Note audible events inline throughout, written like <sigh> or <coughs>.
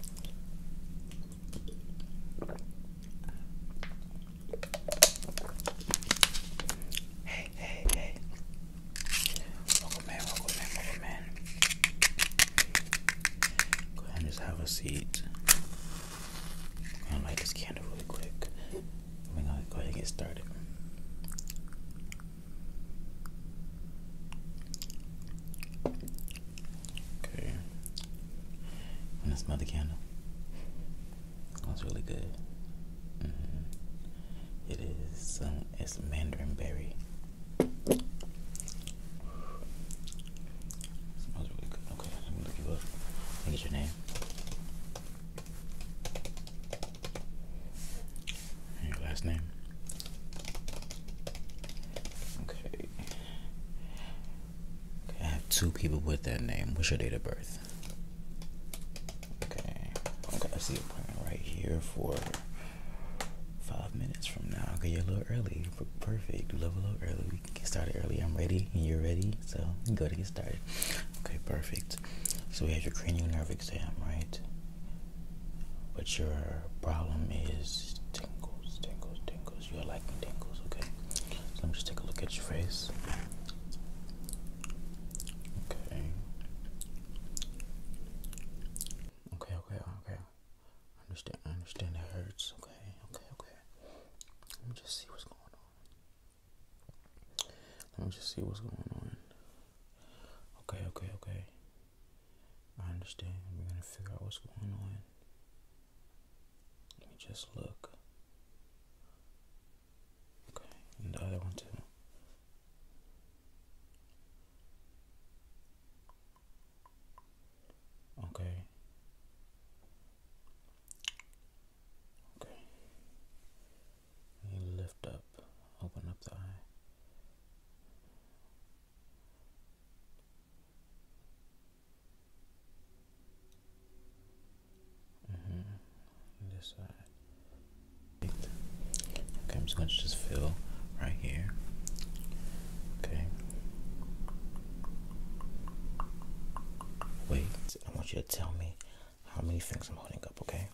Hey, hey, hey. Welcome in, welcome in, welcome in. Go ahead and just have a seat. I'm light this candle really quick. We're gonna go ahead and get started. Okay. I'm smell the candle. That's really good. Mm-hmm. It is Um, it's mandarin berry. Smells really good. Okay, I'm going look you up. Let your name. your last name. Okay. I have two people with that name. What's your date of birth? Okay, okay, I see a plan right here for five minutes from now. Okay, you're a little early. Perfect. You love a little early. We can get started early. I'm ready and you're ready. So go to get started. Okay, perfect. So we have your cranial nerve exam, right? But your problem is tingles, tingles, tingles. Because You are liking tingles, okay? let me just take a look at your face. Okay. Okay, okay, okay. I understand, I understand it hurts. Okay, okay, okay. Let me just see what's going on. Let me just see what's going on. Okay, okay, okay. I understand. We're going to figure out what's going on. Let me just look. Okay, and the other one too. Okay. Okay. lift up, open up the eye. Mm -hmm. This side. Okay, I'm just going to just fill right here. Okay. Wait, I want you to tell me how many things I'm holding up, okay?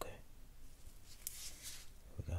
Okay. we go.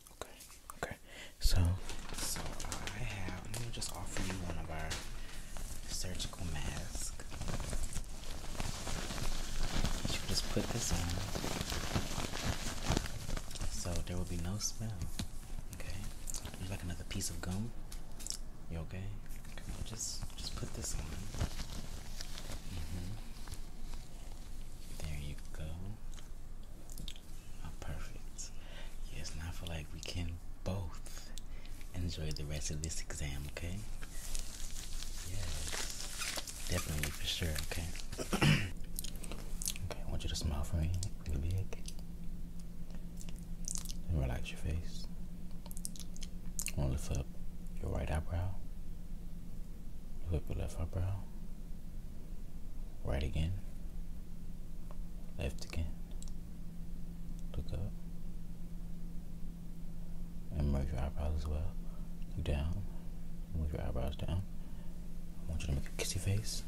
Okay, okay. So, so I have. Let me just offer you one of our surgical masks. You just put this on, so there will be no smell. Okay. you like another piece of gum? You okay? okay just, just put this on. Mm-hmm. There you go. Oh, perfect. Yes, and I feel like we can both enjoy the rest of this exam, okay? Yes, definitely for sure, okay? <clears throat> okay, I want you to smile for me really big and relax your face. I want to lift up your right eyebrow, lift up your left eyebrow. Right again. Left again. Look up. And move your eyebrows as well. Look down. Move your eyebrows down. I want you to make a kissy face.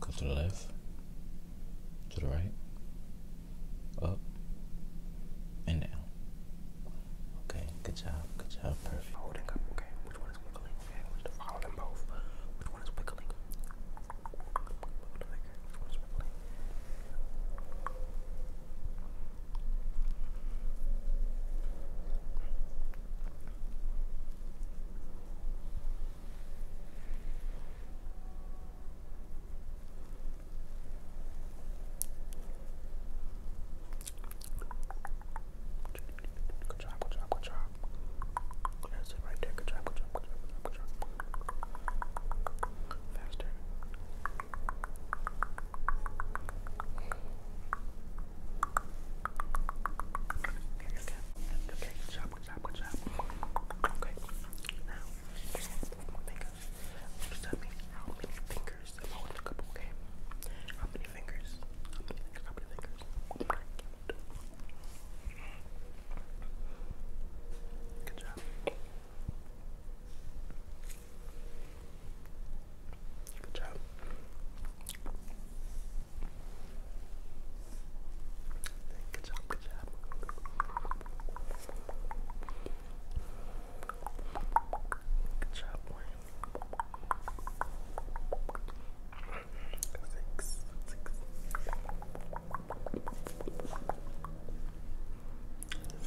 Go to the left. To the right. Up. And down. Okay, good job. Good job. Perfect. Holding up. Okay, which one is wiggling? and we just follow them both. Which one is wiggling? Good job, good job, good job. That's it right there. Good job, good job, good job, good job, good job. Faster. Okay, okay. Okay, good job, good job, good job. Okay. Now, fingers. Just tell me how many fingers. I want to look up, okay? How many fingers? How many fingers? How many fingers? Good job. Good job. Good job, good job. Good job, Wayne six, six,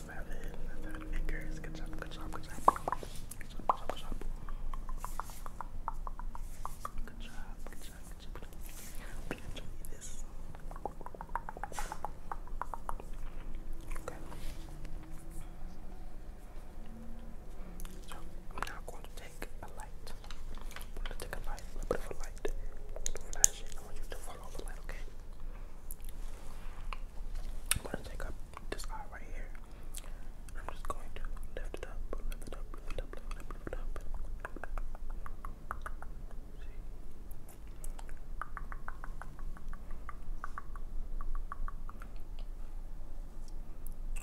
seven, seven acres. Good job, good job, good job. Good job, good job, good job. Good job, good job, I'm now going to take a light i take a light, a little bit light. To flash I want you to follow the light, okay? I'm gonna take up this eye right here. I'm just going to lift it up, lift it up, lift it up, lift it up.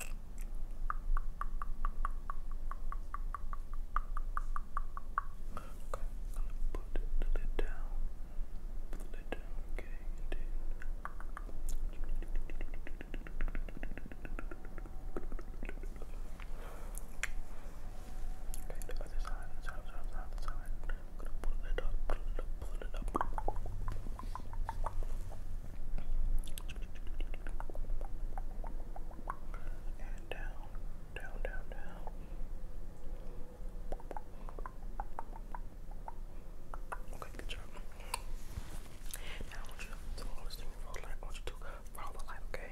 See? Okay, I'm gonna put the lid down. Put the lid down, okay, Okay, the other side, the side, side, the other side. I'm gonna pull it up, pull it up, pull it up. And down, down, down, down. Okay, good job. Now I want you to do this thing for light. I want you to follow the light, Okay,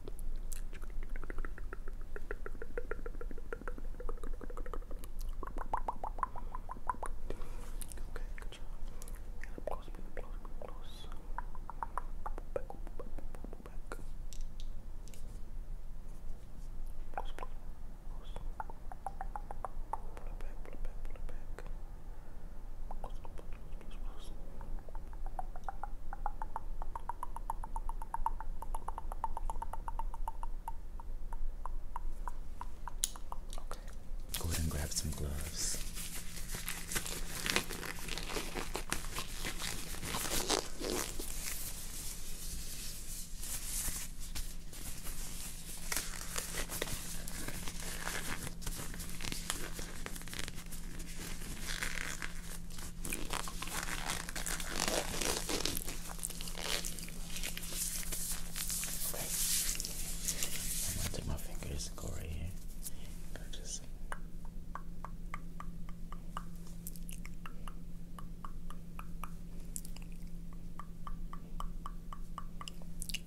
Okay, good job. And up close, baby, close, close. Back, back, back. Close, close, close. Pull it back, pull it back, pull it back. Close, close, close, close, close go ahead and grab some gloves. Okay. I'm gonna take my fingers and go right here. Go just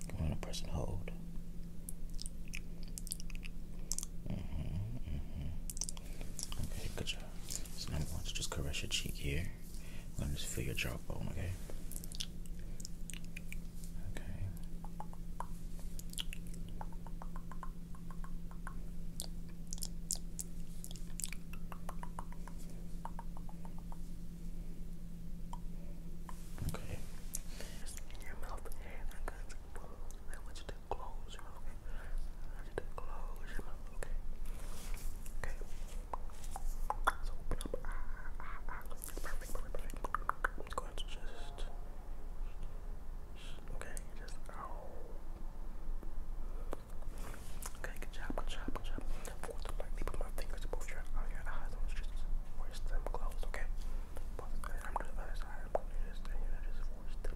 you want to press and hold. Mm-hmm, mm-hmm. Okay, good job. So now I'm going to just caress your cheek here. I'm going to just feel your jawbone, okay? Okay. Okay close your mouth, I need to close your mouth, okay? Okay. So open up. Ah, ah, ah. Perfect, perfect, perfect. going to just. Okay, just. Okay, good job, good job, good job. Force to lightly put my fingers above your, on uh, your eyes and just force them closed, okay? And I'm doing the other I'm going to just, and you know, just force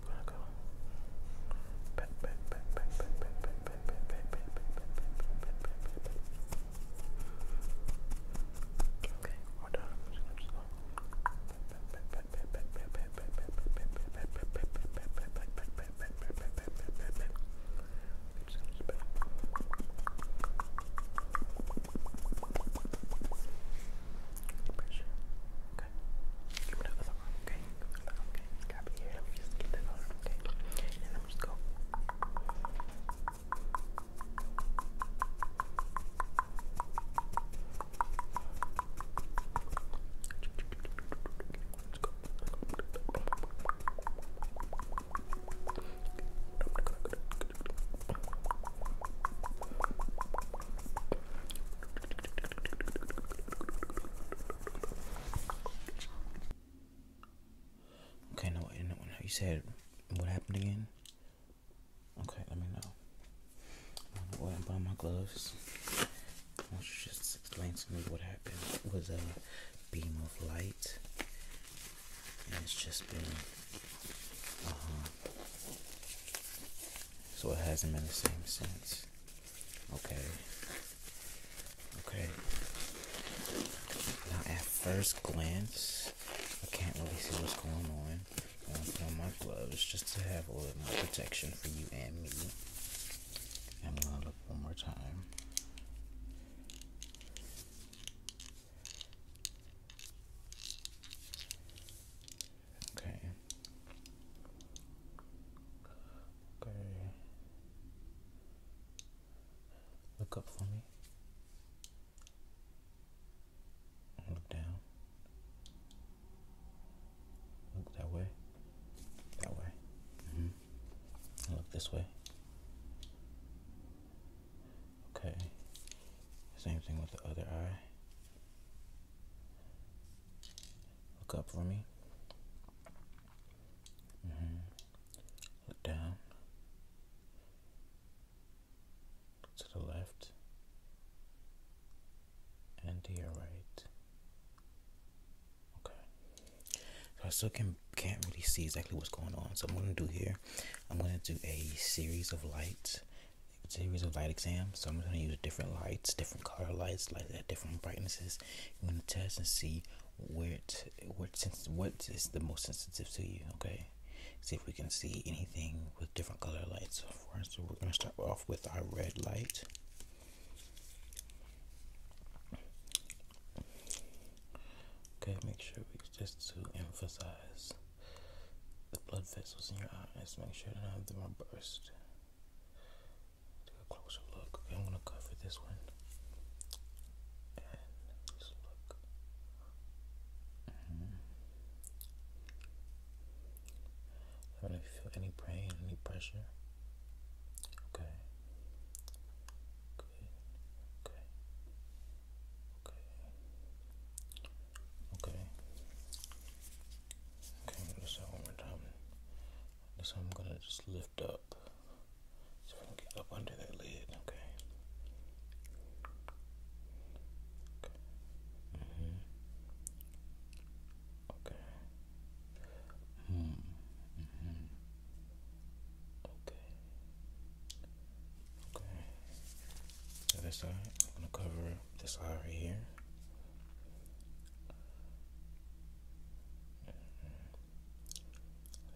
we're gonna go back, back, back, back, back, back, back, back, back, back, back, back, back, back, back. Okay, we're done. I'm just gonna just go back, back, back, back, back, back, back, back, back, back, back, back, back, back, back, back, Pressure. Okay. Give me the other arm, okay? Okay, it's gotta be here. Let me just get that arm, okay? And I'm just go. Let's go. Okay. Okay, no, no, you said what happened again? Okay, let me know. I'm gonna buy my gloves. just explain to me what happened? It was a beam of light, and it's just been. Uh-huh. So it hasn't been the same since. Okay. Okay. Now, at first glance, I can't really see what's going on. I'm gonna put on my gloves just to have a little more protection for you and me. I'm gonna look one more time. Okay. Okay. Look up for me. Look down. Look that way. That way. Mm-hmm. Look this way. Okay. Same thing with the other eye. Look up for me. Mm-hmm. Look down. Look to the left. And to your right. Okay. So I still can't really see exactly what's going on. So I'm gonna do here, I'm gonna do a series of lights a series of light exams. So I'm going to use different lights, different color lights, like at uh, different brightnesses. I'm going to test and see where it, where since what is the most sensitive to you. Okay, see if we can see anything with different color lights. So we're going to start off with our red light. Okay, make sure we just to emphasize the blood vessels in your eyes. Make sure none of them are burst. Take a closer look. I'm gonna cover this one and just look. Mm -hmm. I do feel any pain, any pressure. Okay. Good. Okay. Okay. Okay. Okay, I'm gonna do that one more time. This I'm gonna just lift up so I can get up under that lid, okay? Okay. Mm -hmm. Okay. Okay. Okay. side, I'm gonna cover this eye right here.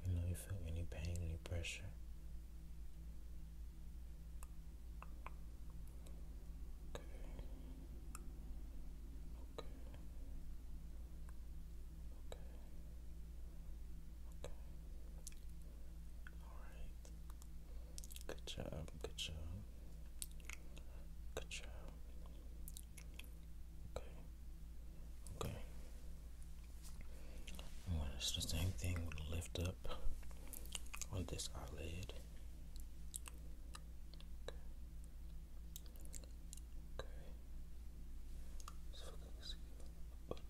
You know, you feel any pain, any pressure. Okay. Okay. Okay. Okay. Alright. Good job. Good job. Good job. Okay. Okay. i the same thing lift up on this eyelid. Okay. Okay.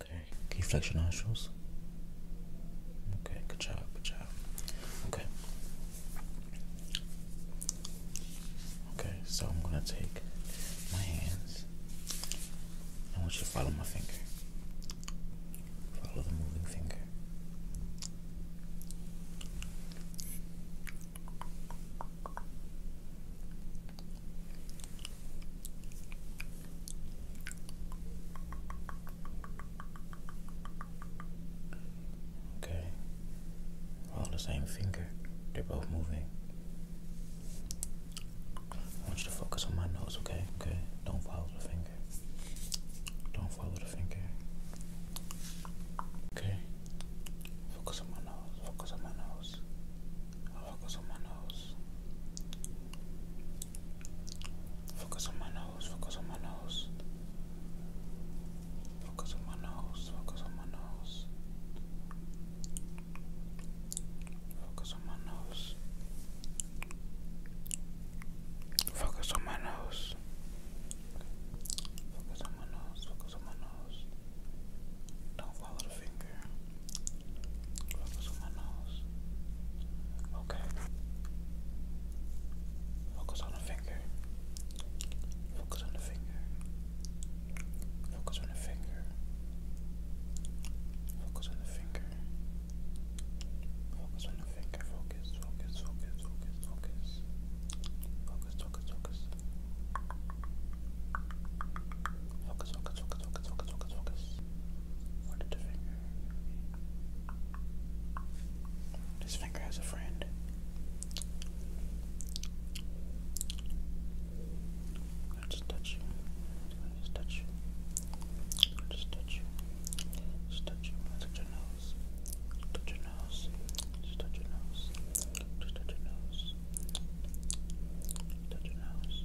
Okay, can you flex your nostrils? Okay, good job, good job. Okay. Okay, so I'm gonna take my hands. I want you to follow my finger. Follow the moving finger. Okay. All the same finger. They're both moving. I want you to focus on my nose, okay? Okay. Don't follow the finger. Don't follow the finger. Okay. Focus on my nose. Focus on my nose. Focus on my nose. Focus on my nose. Focus on my nose. Focus on my nose. Focus on my nose. Focus on my nose. Focus on my nose. Focus on my nose. Don't off my Focus on my nose. Okay. Focus on the finger. Focus on the finger. Focus on the finger. Focus on the finger. Focus on the finger. focus, focus, focus, focus. Focus, focus, focus. Focus, focus, focus, focus, focus, focus, This finger has a friend. I'll touch touch just touch touch touch your nose. Touch your nose. touch your nose. Touch your nose. Touch your nose.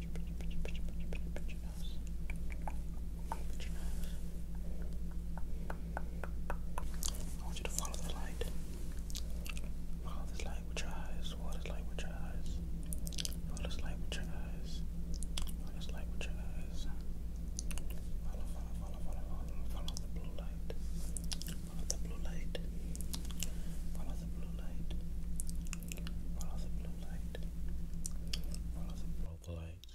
pinch, I want you to follow the light. Follow this light with your eyes. Follow this light with your eyes. Follow this light with your eyes. Follow this light with your eyes. Follow, follow, follow, follow, follow, follow the blue light. Follow the blue light. Follow the blue light. Follow the blue light, follow the, follow the light,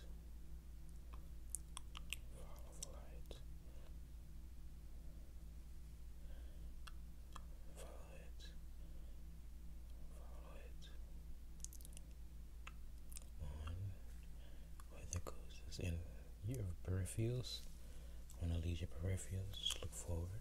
follow the light, follow it, follow it, on where the goes is in your peripherals, on the leisure peripherals, look forward.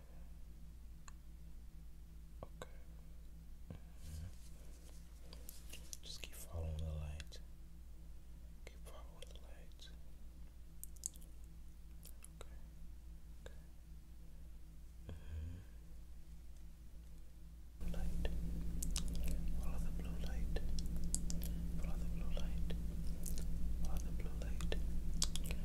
Okay. Just keep following the light. Keep following the light. Okay. Okay. Mm Light. Follow the blue light. Follow the blue light. Follow the blue light.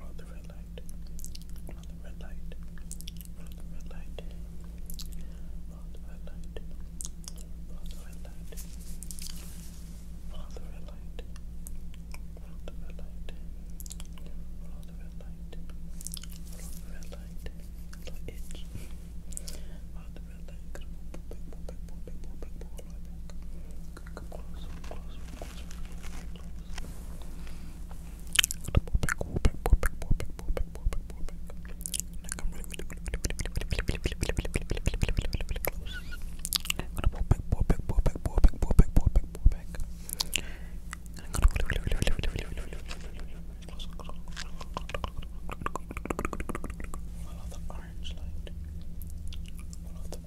Roll the red light. Roll the red light. Roll the red light. Roll the red light. Roll the red light. Roll the red light. Roll the red light. Roll the red light. Little itch. Roll the red light. Pull back, pull back, pull back, pull back, pull back, pull back. Follow the orange light. Follow the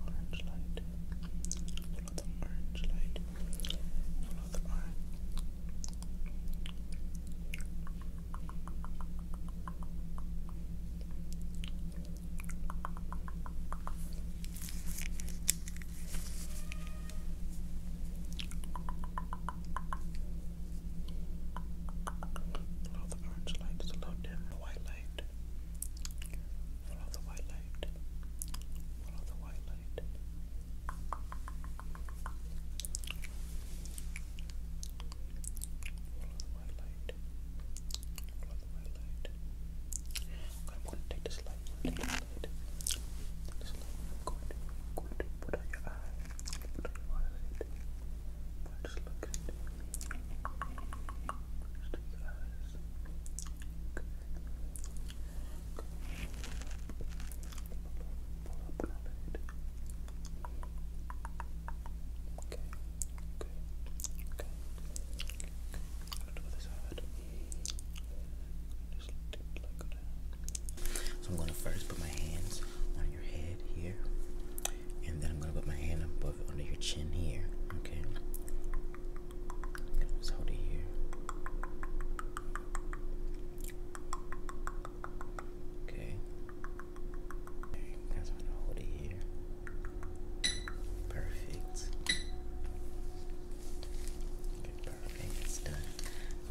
orange light. Follow the orange light. Follow orange. Follow orange light, follow them, white light. Follow the white light. Follow the white light. Follow the white light. I'm going to take this light. this light. this light. I'm put on your eye. Put on your eyelid. But just look at it. Just your eyes. So I'm gonna first put my hands on your head here, and then I'm gonna put my hand above under your chin here. Okay. It was out here. Okay. That's what I hold it here. Perfect. Okay, perfect. It's done.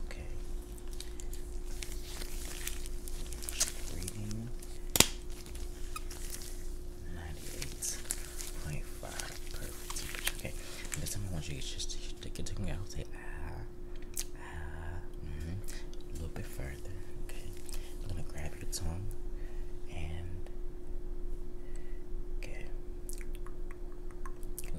Okay. Reading ninety-eight point five. Okay. This time I want you to just to get to me out. Say ah, ah. A little bit further. Okay. I'm gonna grab your tongue and okay. Can I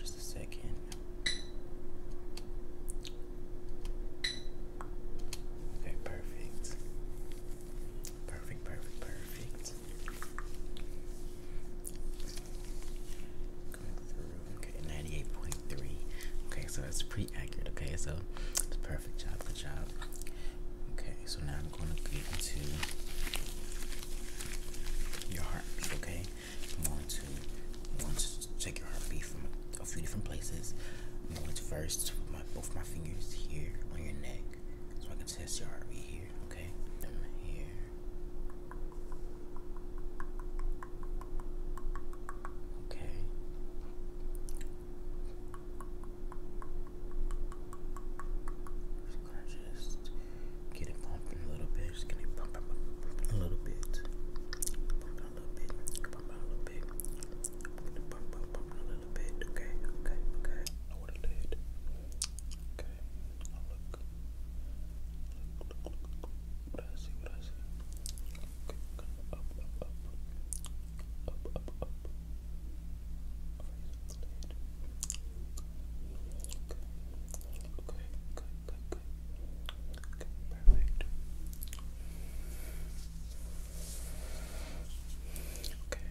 Just a second. Okay, perfect. Perfect, perfect, perfect okay, ninety-eight point three. Okay, so that's pretty accurate. Okay, so it's perfect job. Good job. Okay, so now I'm going to get into your heartbeat. Okay, I'm going to I'm going to check your heartbeat from a few different places. I'm going to first put my both my fingers here on your neck, gonna test your heartbeat here, okay? here. Okay. Just gonna just get it pumping a little bit. Just gonna pump, a little bit. a little bit. a little bit little bit. Okay, okay, okay. I would have did. Okay, now look. Look, look, see, what I see. Okay, up, up, up. Up, up, up. Raise Okay, okay, Okay, perfect. Okay,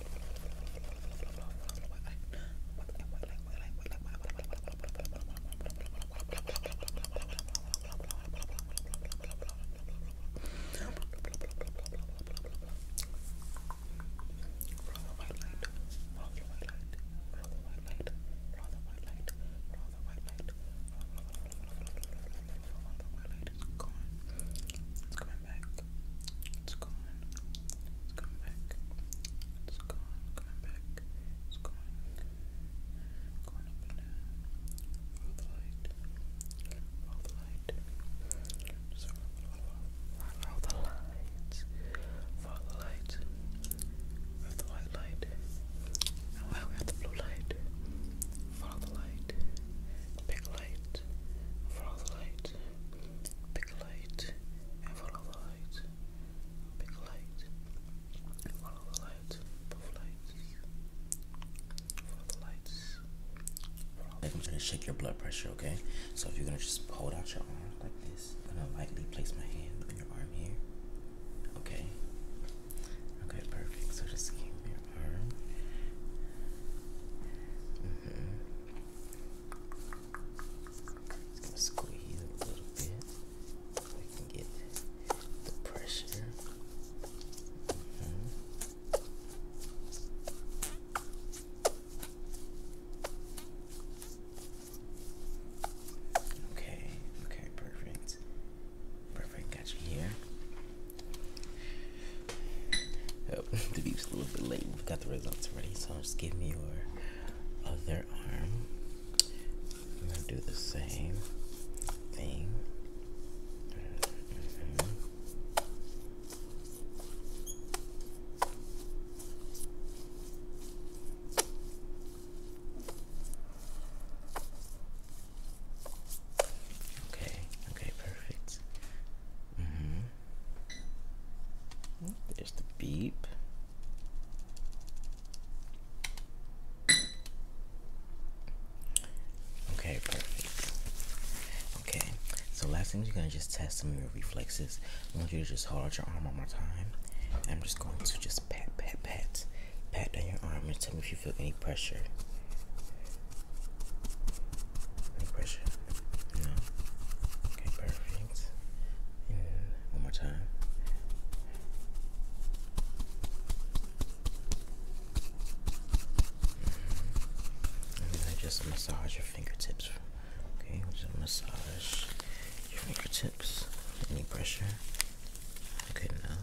it's coming back. It's gone. It's back. It's gone. Coming back. It's gone. Going up and the light. Roll the light. Just the lights. Roll the white light. And why we have the blue light? Follow the light. Big light. Follow the light. Big light and follow the light. Big light and follow the light. Both lights. Follow the lights. I'm going to shake your blood pressure, okay? So if you're gonna just hold out your arm like this, I'm gonna lightly place my hand on your arm here. Okay. Okay, perfect. So just keep your arm. Mm-hmm squeeze a little bit so can get the pressure. Mm-hmm. Okay, okay, perfect. Perfect, got you here. <laughs> the beep's a little bit late. We've got the results ready, so just give me your other arm. do the same thing. Mm-hmm. Okay, okay, perfect. Mm -hmm. There's the beep. Okay, perfect. Okay, so last thing you're gonna just test some of your reflexes. I want you to just hold out your arm one more time. I'm just going to just pat, pat, pat, pat down your arm and tell me if you feel any pressure no pressure. You Okay, perfect. Uh, one more time. Mm-hmm. And I just massage your fingertips. Okay, just massage your fingertips. Any pressure? Okay, now.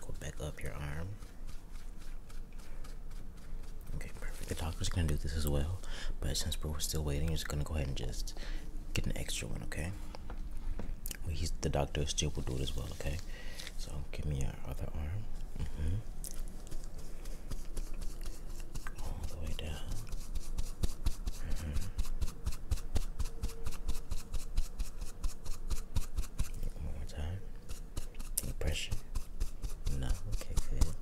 go back up your arm. Okay, perfect. The doctor's gonna do this as well, but since we're still waiting, we're just gonna go ahead and just get an extra one, okay? the doctor still will do it as well, okay? So give me your other arm. Mm-hmm. All the way down. Mm-hmm. more time. pressure. No, okay,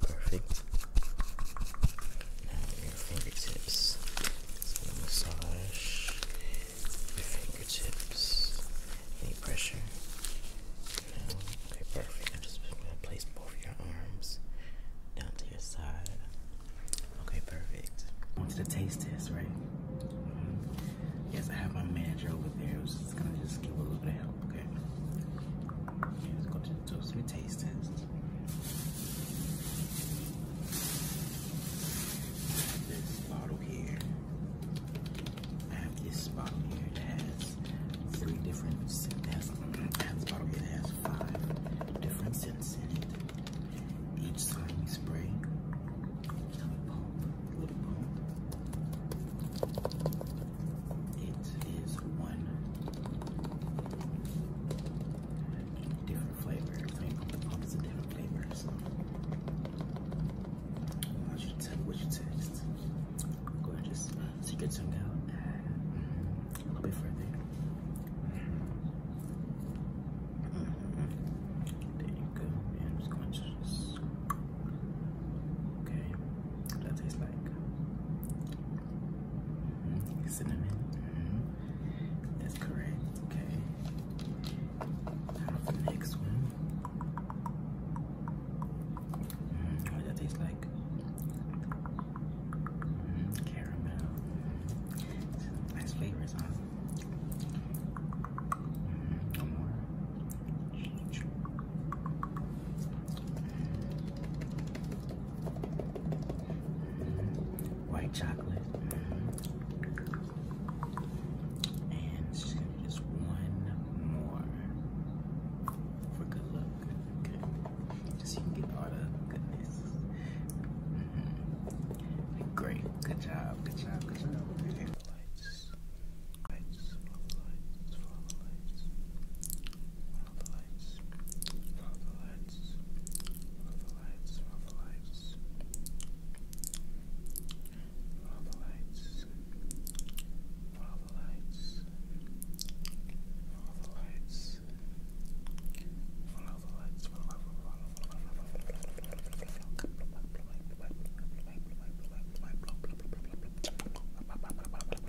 perfect. Now your fingertips. So massage your fingertips. Any pressure? No. Okay, perfect. I'm just gonna place both your arms down to your side. Okay, perfect. I want you taste test, right? Mm-hmm. Yes, I have my manager over there who's just gonna just give a little bit of help, okay? just do taste tests. This bottle here. I have this bottle here that has three different it has, I have this bottle here has five different scents in it. Each time you spray, little pump, little pump. It is one Different flavors. I mean, always different flavors. I want you to tell me what you taste. Gorgeous. So you out a little bit further. Mm-hmm. There you go. I'm just going to Okay. What that tastes like cinnamon. Mm-hmm. Mm-hmm. that's correct. Okay. next one. Mm-hmm. what does that taste like? caramel. nice flavors, huh? Mm, more white chocolate. And just one more for good luck. so you can get all the goodness. Mm-hmm. Great. Good job. Good job. Good job the lights, follow the lights, follow the lights, follow the lights, follow the lights, follow the lights, follow the lights, follow the lights, follow the lights, follow the lights,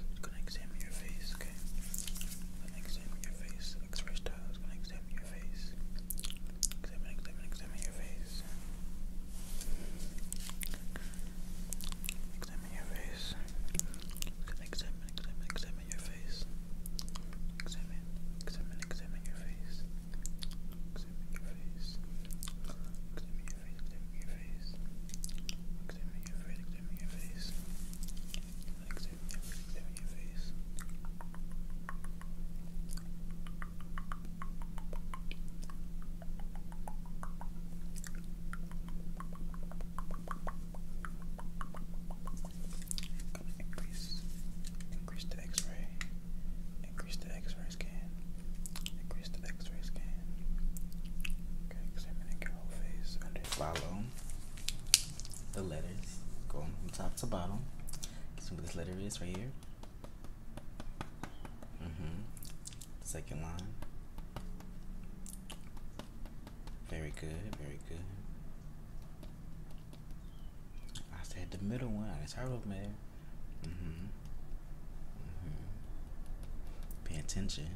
It's gonna examine your face, okay? examine your face. X-ray style gonna examine your face. Examine, examine, examine your face. Examine your face. Examine, examine, examine, examine Examine, examine, your face. Examine, examine, examine your face at your Look at me, your face. Look at me, your face. Look at me, your face. Look at me, your face. Look at me, your your face. increase the X-ray, increase the X-ray. X-ray scan. Increase the X-ray scan. Okay, examining your whole face. follow the letters. going from top to bottom. So what this letter is right here? Mm-hmm. Second line. Very good, very good. I said the middle one. I her over there. Mm-hmm. Mm-hmm. Pay attention.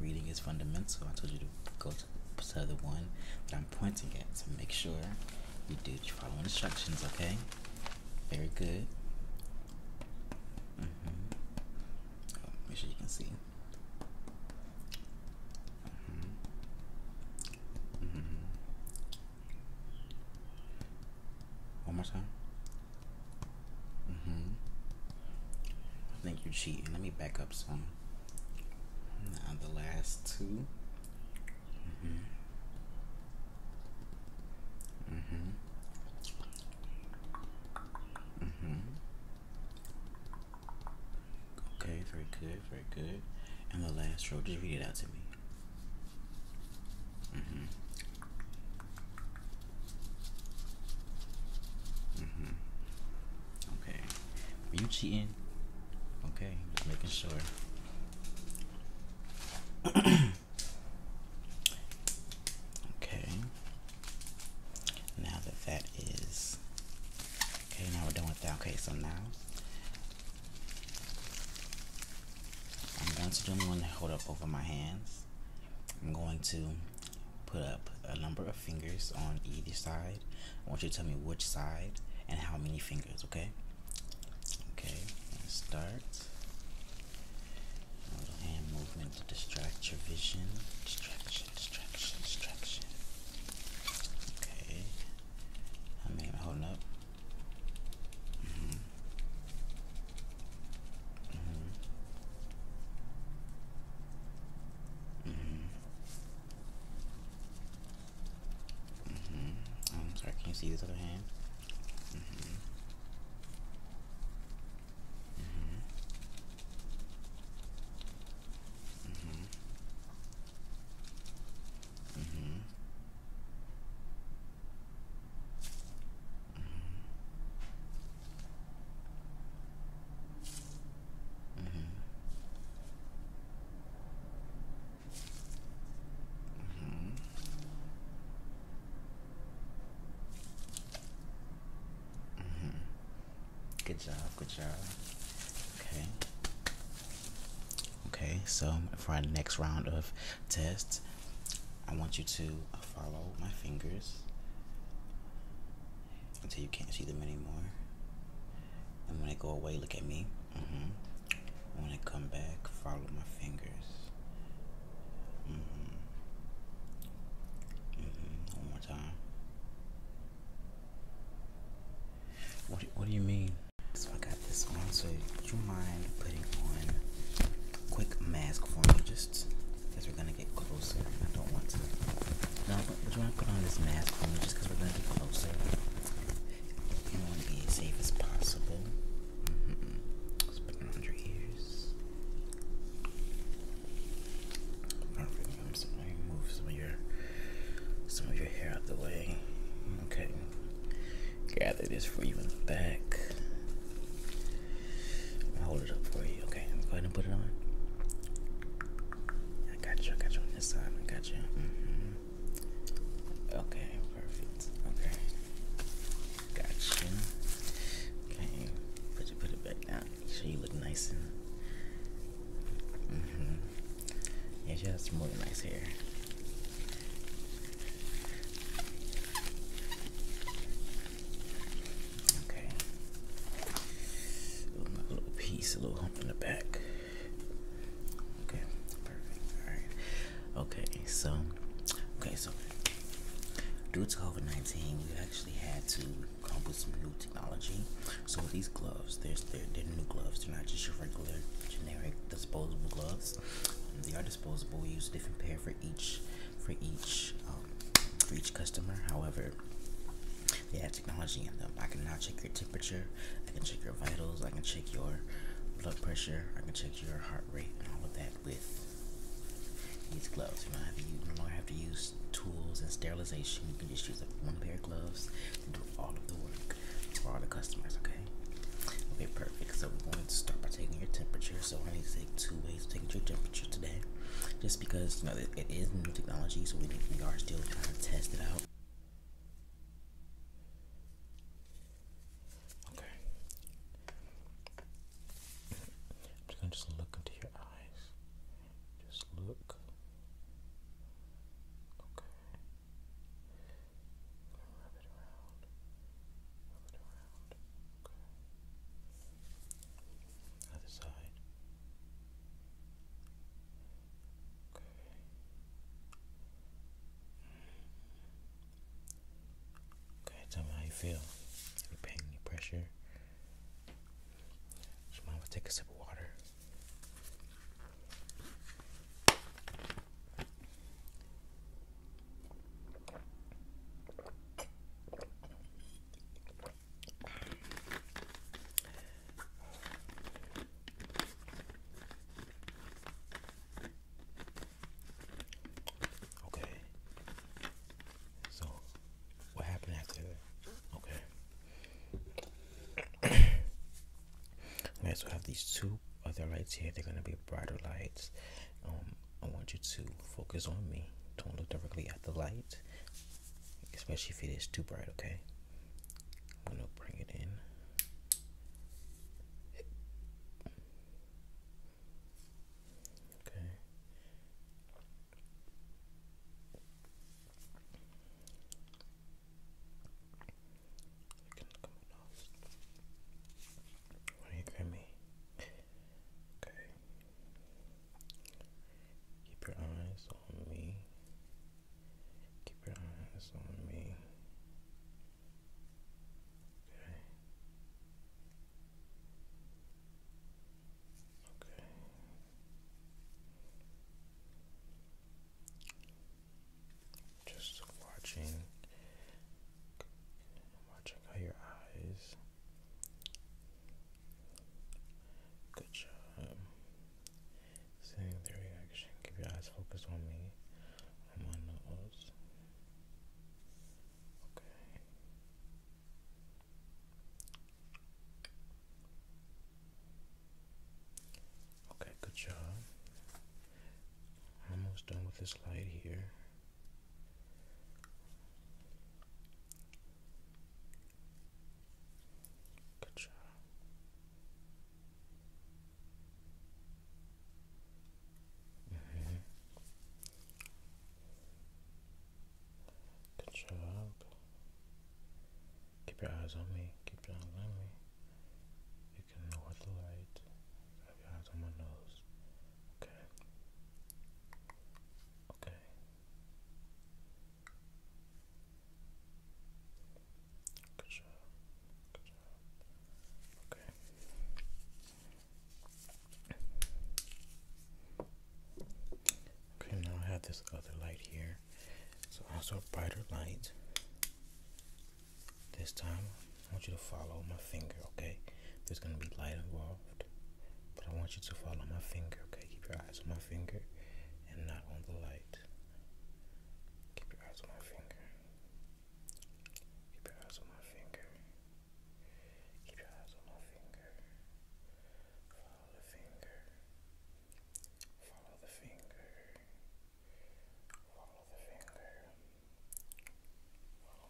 Reading is fundamental. I told you to go to, to the one that I'm pointing at to make sure you do follow instructions, okay? Very good. Mm-hmm. make sure you can see. Mm-hmm. mm-hmm. One more time. Mm-hmm. I think you're cheating. Let me back up some. Now the last two. Mm-hmm. Mm-hmm. Mm-hmm. Okay, very good, very good. And the last row, just read it out to me. Mm -hmm. Mm -hmm. Okay. Were you cheating? Okay, just making sure. <clears throat> okay. Now that that is okay, now we're done with that. Okay, so now I'm going to do one. hold up over my hands. I'm going to put up a number of fingers on either side. I want you to tell me which side and how many fingers, okay? Okay, start. A little hand movement to distract your vision. Distraction, distraction, distraction. Okay. How many holding up? Mm-hmm. Mm-hmm. Mm-hmm. I'm sorry, can you see this other hand? good job good job okay okay so for our next round of test, I want you to uh, follow my fingers until you can't see them anymore. And when they go away, look at me. Mm-hmm. When I come back, follow my fingers. Mm-hmm. Mm-hmm. One more time. What What do you mean? So got this one. So do you mind putting on quick mask for me just because we're gonna get closer I don't want to. No, but you wanna put on this mask for me just because we're gonna get closer. You wanna be as safe as possible. Mm -mm. put it on your ears. Perfect. I'm just gonna move some of your some of your hair out the way. Okay gather this for you in the back. i hold it up for you. Okay, go ahead and put it on. I got you. I got you on this side. I got you. -hmm. Okay, perfect. Okay, got you. Okay, put you put it back down. Make sure you look nice and. Mm -hmm. Yeah, she has some really nice hair. Okay. A little piece, a little hump in the back. Okay, perfect. Alright. Okay, so okay, so due to COVID nineteen we actually had to come up with some new technology. So these gloves, they're, they're new gloves, they're not just your regular generic disposable gloves. They are disposable. We use a different pair for each for each um, for each customer. However, they have technology in them. I can now check your temperature. I can check your vitals. I can check your blood pressure. I can check your heart rate and all of that with these gloves. You don't have to use, No do have to use tools and sterilization. You can just use one pair of gloves to do all of the work for all the customers. Okay. Okay, perfect. So we're going to start by taking your temperature. So I need to take two ways of taking your temperature today. Just because you know it is new technology, so we we are still trying to test it out. Okay. I'm just gonna just look into your eyes. Just look. Okay and it around. Rub it around. Okay. Other side. Okay. Okay, tell me how you feel. Any pain, any pressure? So mama take a sip of water. Okay. So, what happened after that? Okay. <clears throat> okay, so I have these two other lights here. They're gonna be brighter lights. Um, I want you to focus on me. Don't look directly at the light, especially if it is too bright, okay? I'm gonna bring it in. Okay. Are you hear me? Okay. Keep your eyes on me. Keep your eyes on me. Okay. Okay. Just watching watching how your eyes. Good job. Seeing the Keep your eyes focused on me, on my nose. Okay. Okay, good job. I'm almost done with this light here. Good job. Mm -hmm. Good job. Keep your eyes on me. Keep your eyes on me. You can know what to light. Have your eyes on my nose. Okay. Okay. Good job. Good job. Okay. Okay, now I have this other light here. It's also a brighter light. This time I want you to follow my finger, okay? There's gonna be light involved, but I want you to follow my finger, okay? Keep your eyes on my finger and not on the light. Keep your eyes on my finger. Keep your eyes on my finger. Keep your eyes on my finger. Follow the finger. Follow the finger. Follow the finger. Follow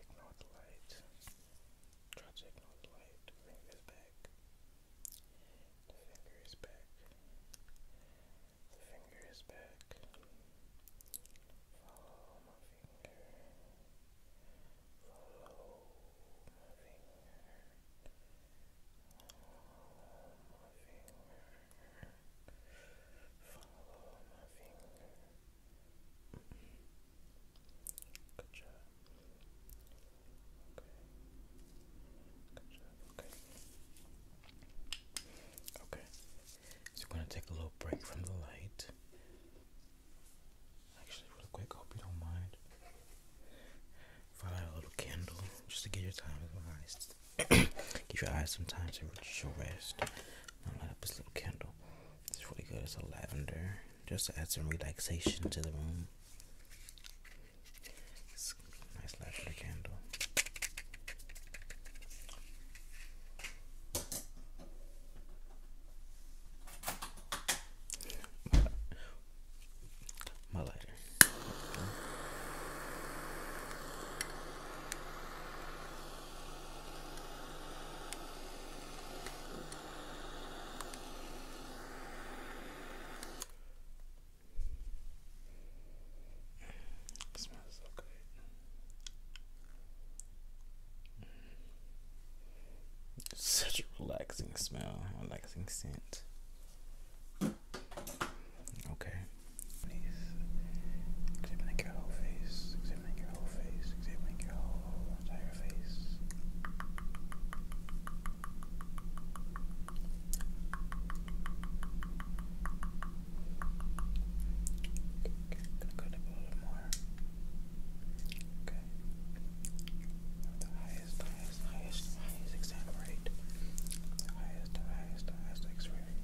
Ignore the light. Try to ignore the light. Fingers back. The finger is back. The finger is back. Follow my finger. Follow my finger. Follow my finger. Follow my finger. Good Okay. Okay. Okay. So we're gonna take a little break from the light. Actually, real quick, hope you don't mind. If a little candle just to get your time eyes, <coughs> give your eyes some time to reach rest. I'll light up this little candle. It's really good. It's a lavender. Just to add some relaxation to the room. nice lavender candle. My, lighter smells so good. Such a relaxing smell, relaxing scent. Okay. Examining your whole face, examining your whole face, examining your whole entire face. Okay, gonna go a little more. Okay. The highest, highest, highest, highest exam rate. The highest, highest, highest X-ray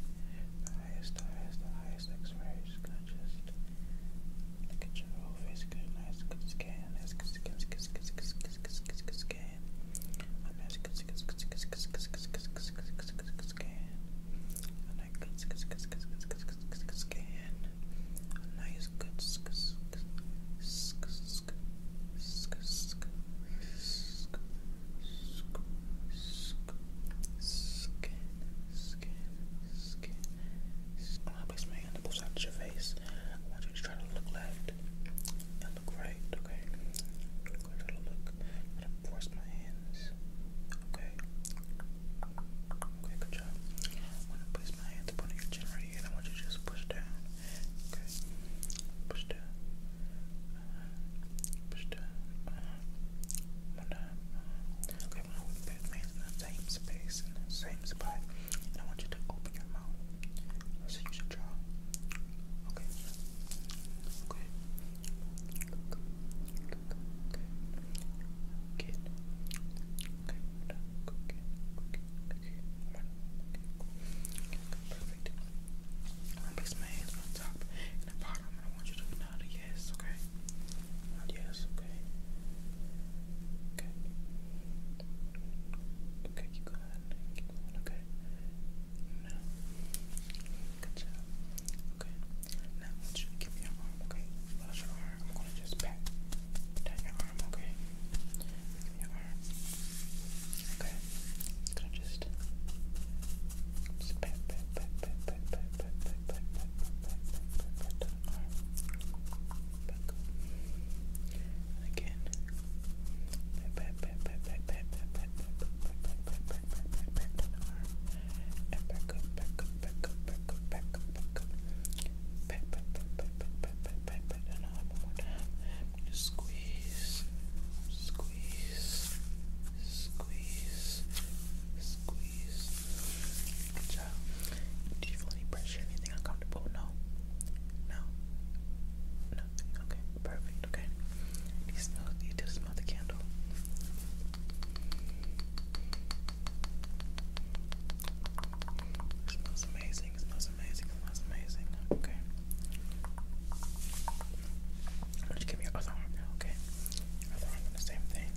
highest, the highest, the highest x Gonna just look at your whole face. Good, nice, good scan. Nice, good scan, scan, scan, scan, scan, scan, scan. A nice, good scan, scan, scan, scan, scan, scan, scan, scan. A nice, good scan, scan, scan, scan, scan, scan. A nice, good scan, scan, scan, scan, scan, scan. Scan, scan, scan, I'm gonna place my hand on both sides of your face. I want you to try to look left and look right, okay? I'm gonna I'm gonna force my hands, okay? Okay, good job. I'm gonna place my hands upon your chin right here, and I want you to just push down, okay? Push down, uh -huh. push down, one down, Okay, I want to put both hands in the same space, in the same spot, and I want you to open your mouth. So you should draw. Okay. Okay. Good. Good. Okay. Okay. Okay. Perfect. I'm gonna place my hands on top and the bottom. I want you to yes, okay? yes, okay? Okay. Okay, keep going. Keep going, okay? Now, good job. Okay. Now, I want you give me your arm, okay? Close your arm. I'm going to just pat down your arm, okay? Give me your arm. Okay. going to just pat, pat, pat, pat, pat, pat, pat, pat, pat, pat, pat, pat, Again. pat, pat, pat, pat, pat, pat, pat, Squeeze, squeeze, squeeze, squeeze, squeeze. Good job. Do you feel any pressure? Anything uncomfortable? No? No? Nothing. Okay. Perfect. Okay. you smell do you smell the candle? smells amazing, smells amazing, smells amazing. Okay. I'm gonna give me your other arm okay? other arm the same thing.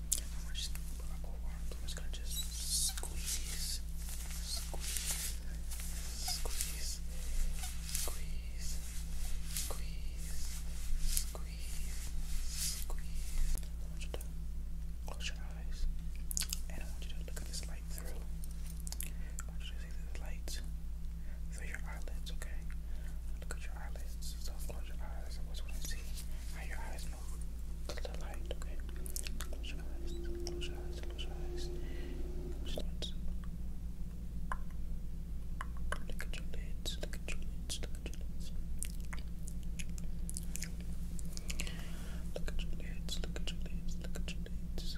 I'm just gonna just squeeze, squeeze, squeeze, squeeze, squeeze, squeeze, squeeze. I want you to close your eyes, and I want you to look at this light through. I want you to see this light through your eyelids, okay? Look at close your eyes. I just want to see how your eyes move to the light, Close your eyes, close your eyes, close your eyes. look at your lids, look at your lids, look at your lids. Look at your lids, look at your lids, look at your lids.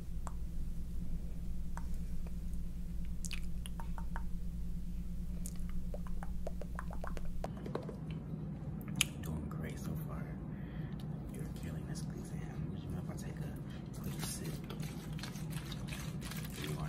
Doing great so far. You're killing this exam. Would you mind I take a quick sip? You are.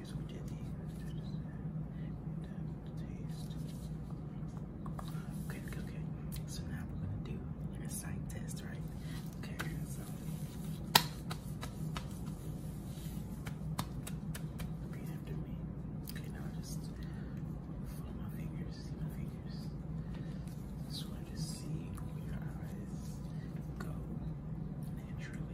Okay, okay, So now we're gonna do a sight test, right? Okay, so repeat after me. Okay, now just follow my fingers, my fingers. Just want to see where your eyes go naturally.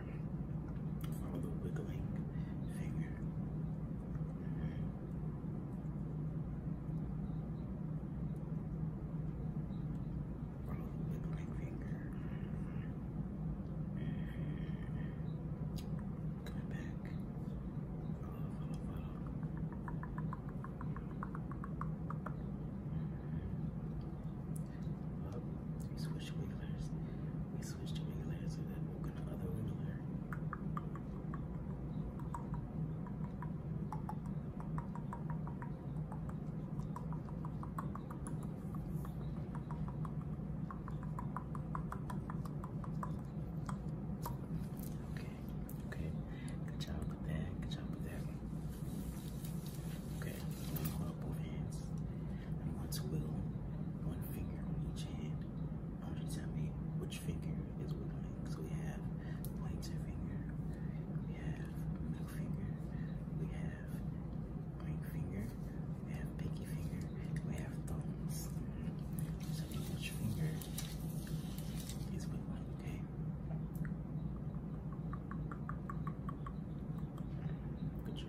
finger. Follow the wiggling finger. Follow the wiggling finger. Coming back. Switch wigglers we switched to regular hair so that we're going other regular hair. Okay, okay. Good job with that. Okay, I'm going and one's will, one finger on each hand. Why you tell me which finger is willing? So we have pointer finger, we have middle finger, we have ring finger, we have pinky finger, we have thumbs. So which finger is willing, okay? Good job.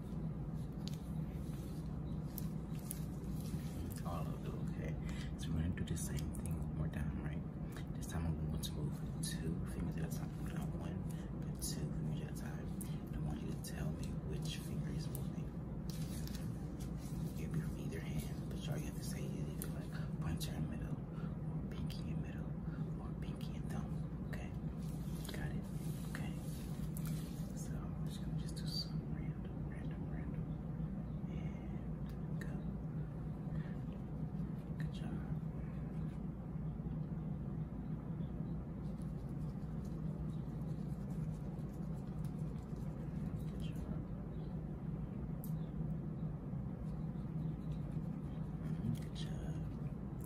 All of it, okay. So we're gonna do the same thing more down, right? This time I'm going to move two fingers at a time. Not one, but two fingers at a time. And I want you to tell me which finger is moving. It'll be from either hand, but all you have to say it either like pointer in middle, or pinky in middle, or pinky and thumb. Okay? Got it. Okay. So I'm just gonna just do some random, random, random. And go. Good job. Good job. Good job.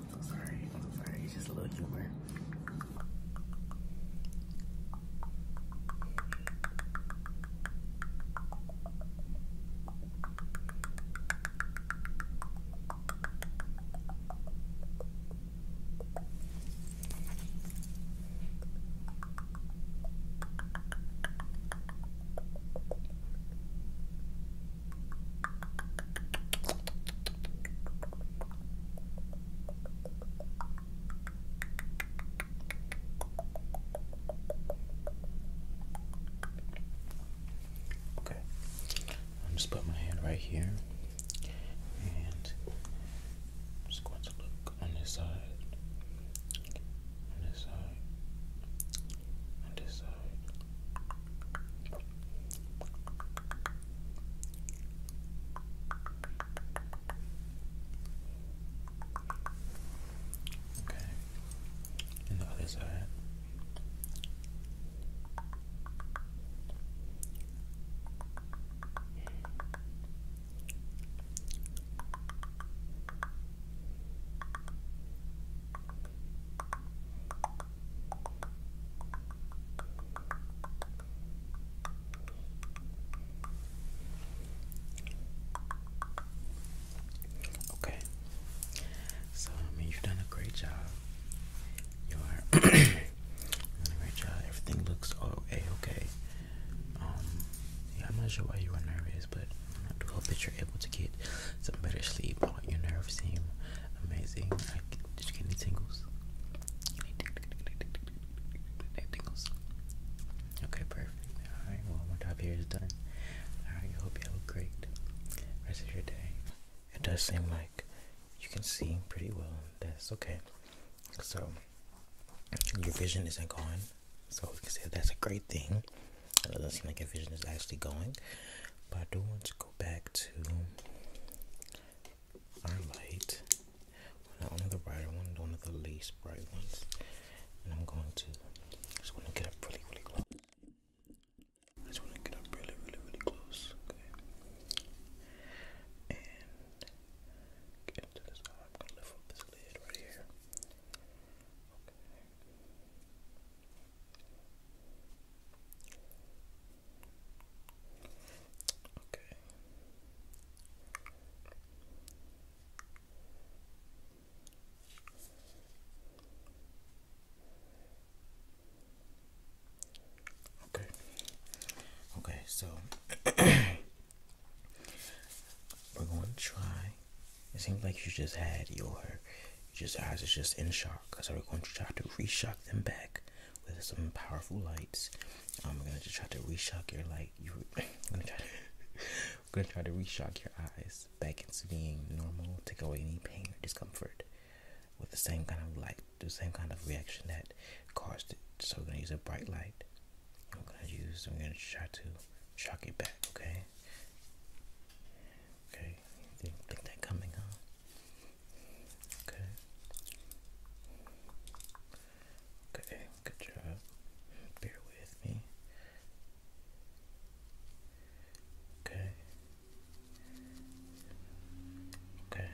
I'm sorry. I'm sorry. It's just a little humor. Okay, I'm just put my hand right here, and I'm just going to look on this side, on this side, on this side. Okay. And the other side. Okay. So I mean you've done a great job. You are <coughs> great job. Everything looks all a okay. Um I'm not sure why you were nervous, but I do hope that you're able to get some better sleep. All your nerves seem amazing. Did you get any tingles? Any tingles? Okay, perfect. Alright, well my job here is done. Alright, I hope you have great rest of your day. It does seem like you can see pretty well. That's okay. So your vision isn't gone. So that's a great thing. It doesn't seem like your vision is actually going. But I do want to go back to our light. one of the brighter ones, one of the least bright ones. And I'm going to just want to get up really, really close. just want to get up really, really, really close. Okay. And get into this I'm going to lift up this lid right here. Okay. Okay. Okay, so <coughs> we're going to try. It seems like you just had your, just eyes are just in shock. Cause I'm going to try to reshock them back with some powerful lights. I'm going to try to reshock your light. You are going to try to <laughs> going to try to reshock your eyes back into being normal. Take away any pain or discomfort with the same kind of light, the same kind of reaction that caused it. So we're going to use a bright light. I'm going to use. I'm going to try to shock it back. Okay. Okay. Didn't think coming, huh? Okay. Okay, good job. Bear with me. Okay. Okay.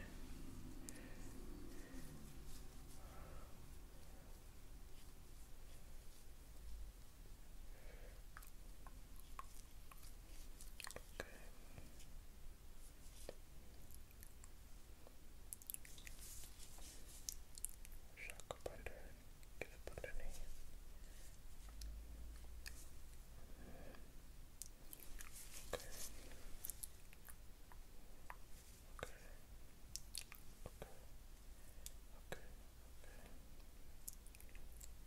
Okay. Shock butter, get it put Okay. Okay. Okay. Okay. Okay. Okay. Okay. Okay. Okay.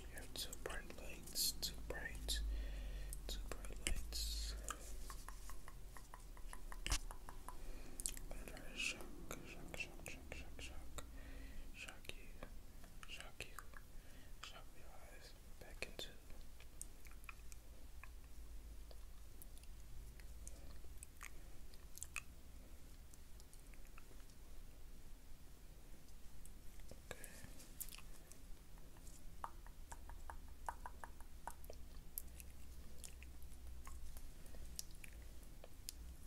You have bright lights, two bright, two bright lights. I'm trying to shock, shock, shock, shock, you, shock you, shock your eyes back into Okay.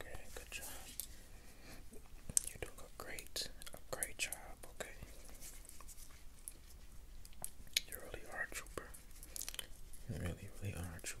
Okay, good job. You're doing a great, a great job, okay? You really are trooper. You really, really are trooper.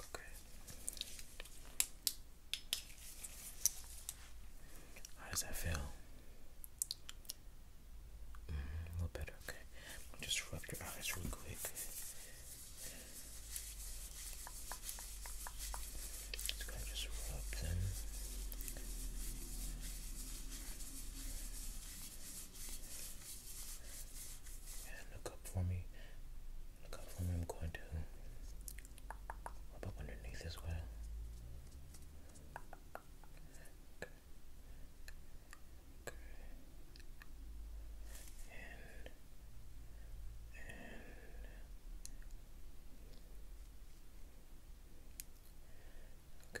Okay. How does that feel? a little better, okay. just rub your eyes real quick. Just rub them. And look up for me. Look up for me. I'm going to rub up underneath as well good, okay,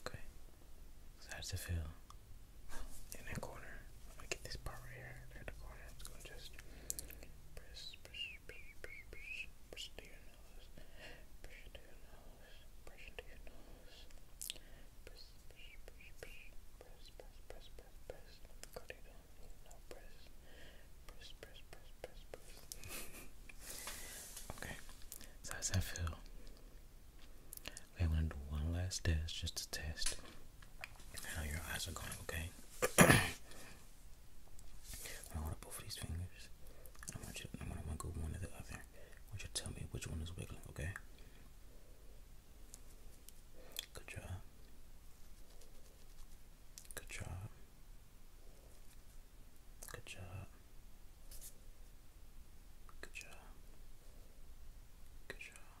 okay. Okay, so it feel? in that corner. i get this part right here in the corner. i gonna just press, press, press, press, press, press to your nose, press to your nose, press to your nose, press, press, press, press, press, press, press, press, press. Cut it on, now press, press, press, press, press, press. Okay, so how's that feel? Okay, I'm gonna do one last test just to test. Now your eyes are going okay. <coughs> I want both these fingers. I want you. I want to wiggle one or the other. I you tell me which one is wiggling. Okay. Good job. Good job. Good job. Good job. Good job.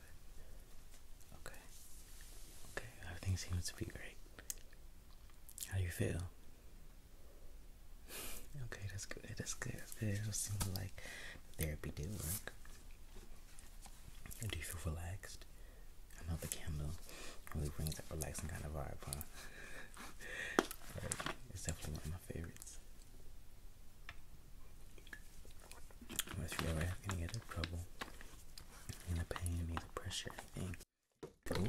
Okay. Okay, everything seems to be great. How do you feel? <laughs> okay, that's good. That's good. That's good. It seems like therapy did work. Do you feel relaxed? I know the candle really brings that relaxing kind of vibe, huh? right. <laughs> It's definitely one of my favorites. If you ever have any other trouble and pain and pressure, I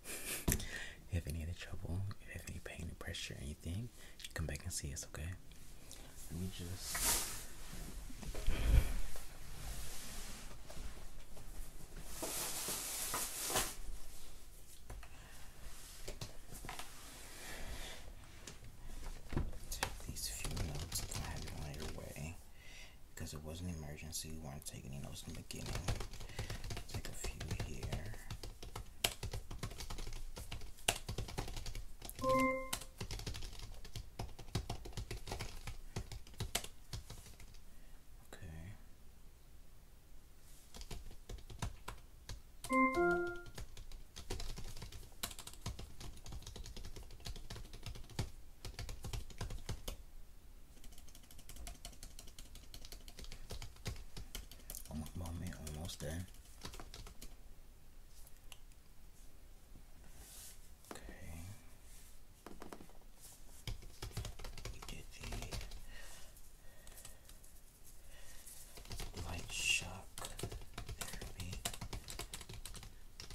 <laughs> if any of trouble, if you have any pain or pressure anything, come back and see us, okay? Let me just. Take these few notes that I have on your way because it was an emergency. We weren't taking any notes in the beginning. Take a few here. Okay. Almost mommy, almost there. Okay. We did the light shock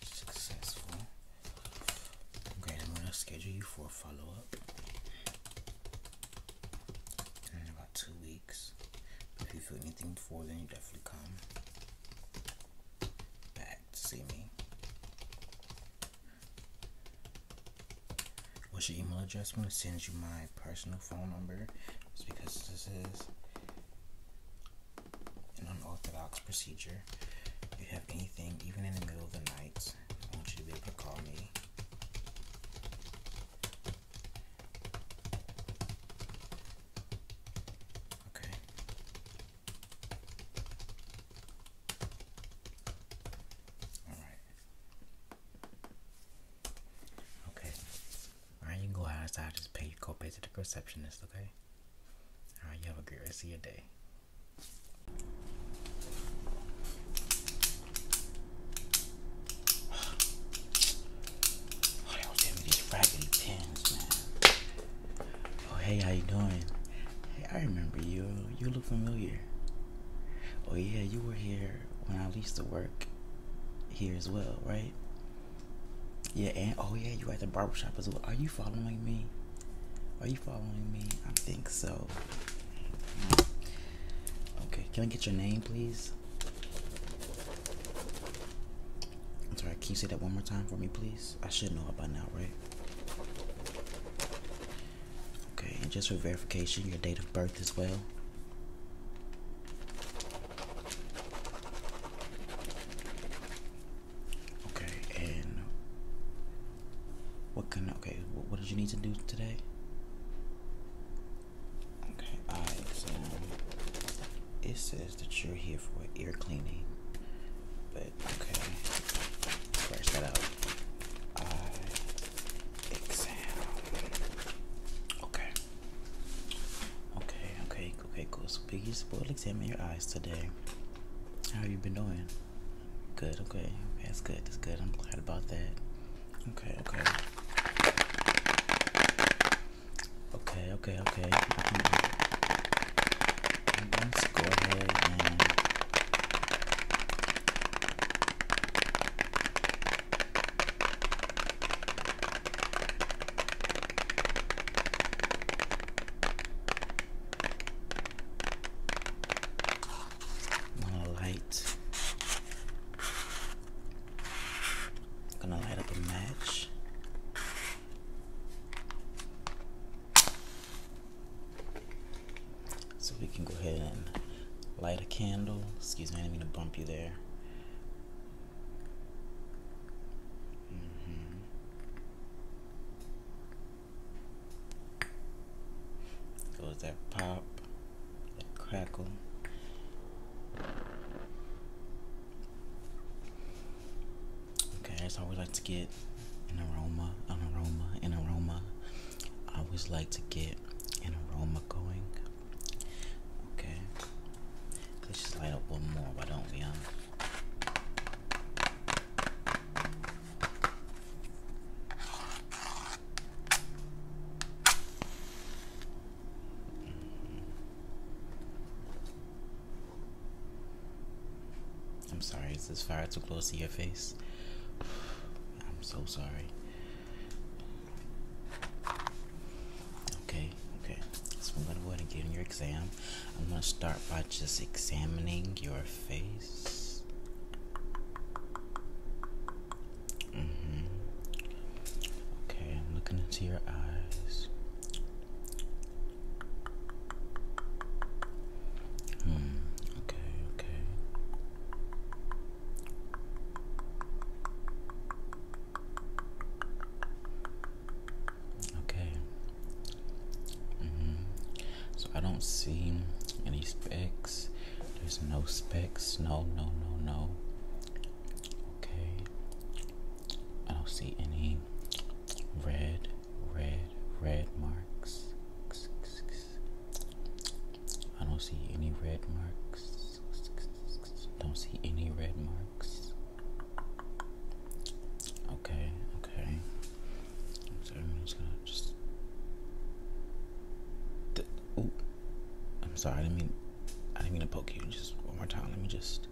Successful. I'm gonna schedule you for a follow up in about two weeks. If you feel anything before then, you definitely come back to see me. What's your email address? I'm gonna send you my personal phone number. It's because this is an unorthodox procedure. If you have anything, even in the middle of the night, I want you to be able to call me. Okay. All right. Okay. All right, you go outside. Just pay your to the receptionist. Okay. Alright, you have a great rest of your day. Oh, that was these raggedy pins, man. Oh, hey, how you doing? Hey, I remember you. You look familiar. Oh, yeah, you were here when I used to work here as well, right? Yeah, and oh yeah, you at the barber shop as well. Are you following me? Are you following me? I think so. Mm. Okay, can I get your name, please? sorry, can you say that one more time for me, please? I should know by now, right? Okay, and just for verification, your date of birth as well. Okay, and what can okay? What, did you need to do today? Okay, I exam. It says that you're here for ear cleaning, but okay, scratch that out. I exam. Okay, okay, okay. Okay, cool. So Biggie's will examine your eyes today. How have you been doing? Good, okay. That's good, that's good. I'm glad about that. Okay, okay. Okay, okay, okay. I'm go ahead and light. gonna light up a match. So we can go ahead and light a candle. Excuse me, I didn't mean to bump you there. Mm-hmm. Goes that pop, that crackle. Okay, that's so how we like to get an aroma, an aroma, an aroma. I always like to get an aroma going. Okay. Let's just light up one more, why don't we, I'm sorry, is this fire too close to your face? <sighs> I'm so sorry. Okay, Okay, So I'm gonna go ahead and get in your exam. I'm gonna start by just examining your face. Mm-hmm. Okay, I'm looking into your eyes. Hmm, okay, okay. Okay. Mm-hmm. So I don't see any specks. There's no specks. No, no, no, no. Okay. I don't see any red, red, red marks. I don't see any red marks. Don't see any red marks. Okay, okay. So I'm just going I'm sorry. I didn't mean. I didn't mean to poke you. Just one more time. Let me just.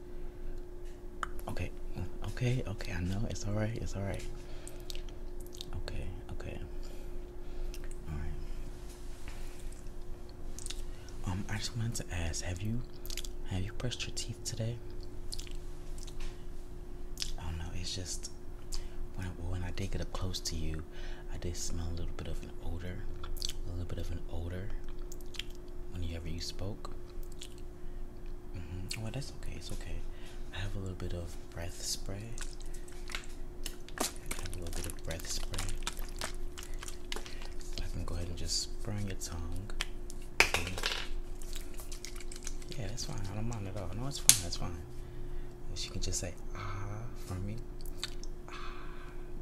Okay, okay, okay. I know it's all right. It's all right. Okay, okay. All right. Um, I just wanted to ask: Have you, have you brushed your teeth? today. I don't know. It's just when I, when I did get up close to you, I did smell a little bit of an odor, a little bit of an odor. When you spoke, you spoke, well, that's okay. It's okay. I have a little bit of breath spray. I have a little bit of breath spray. I can go ahead and just spray your tongue. Yeah, that's fine. I don't mind at all. No, it's fine. That's fine. She can just say ah for me. Ah.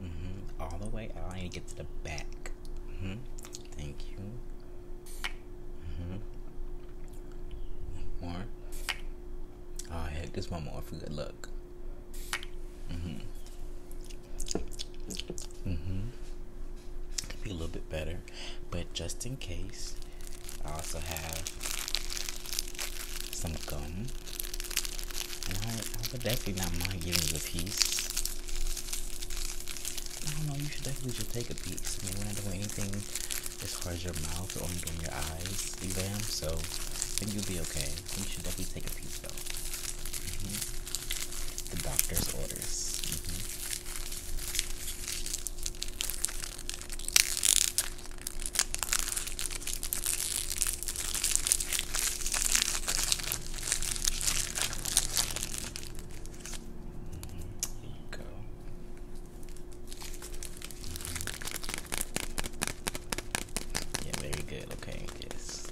Mm -hmm. All the way out. I need to get to the back. Mm -hmm. Thank you. Mm -hmm. One more. Oh, heck, this one more for good luck. Mm -hmm. Mm-hmm. Could be a little bit better, but just in case, I also have some gum. And I, would definitely not mind giving you a piece. I don't know, you should definitely just take a piece. I mean, we're not doing anything as far as your mouth or doing your eyes exam, so I think you'll be okay. You should definitely take a piece though. Mm-hmm. The doctor's orders. Mm you go. Yeah, very good. Okay, yes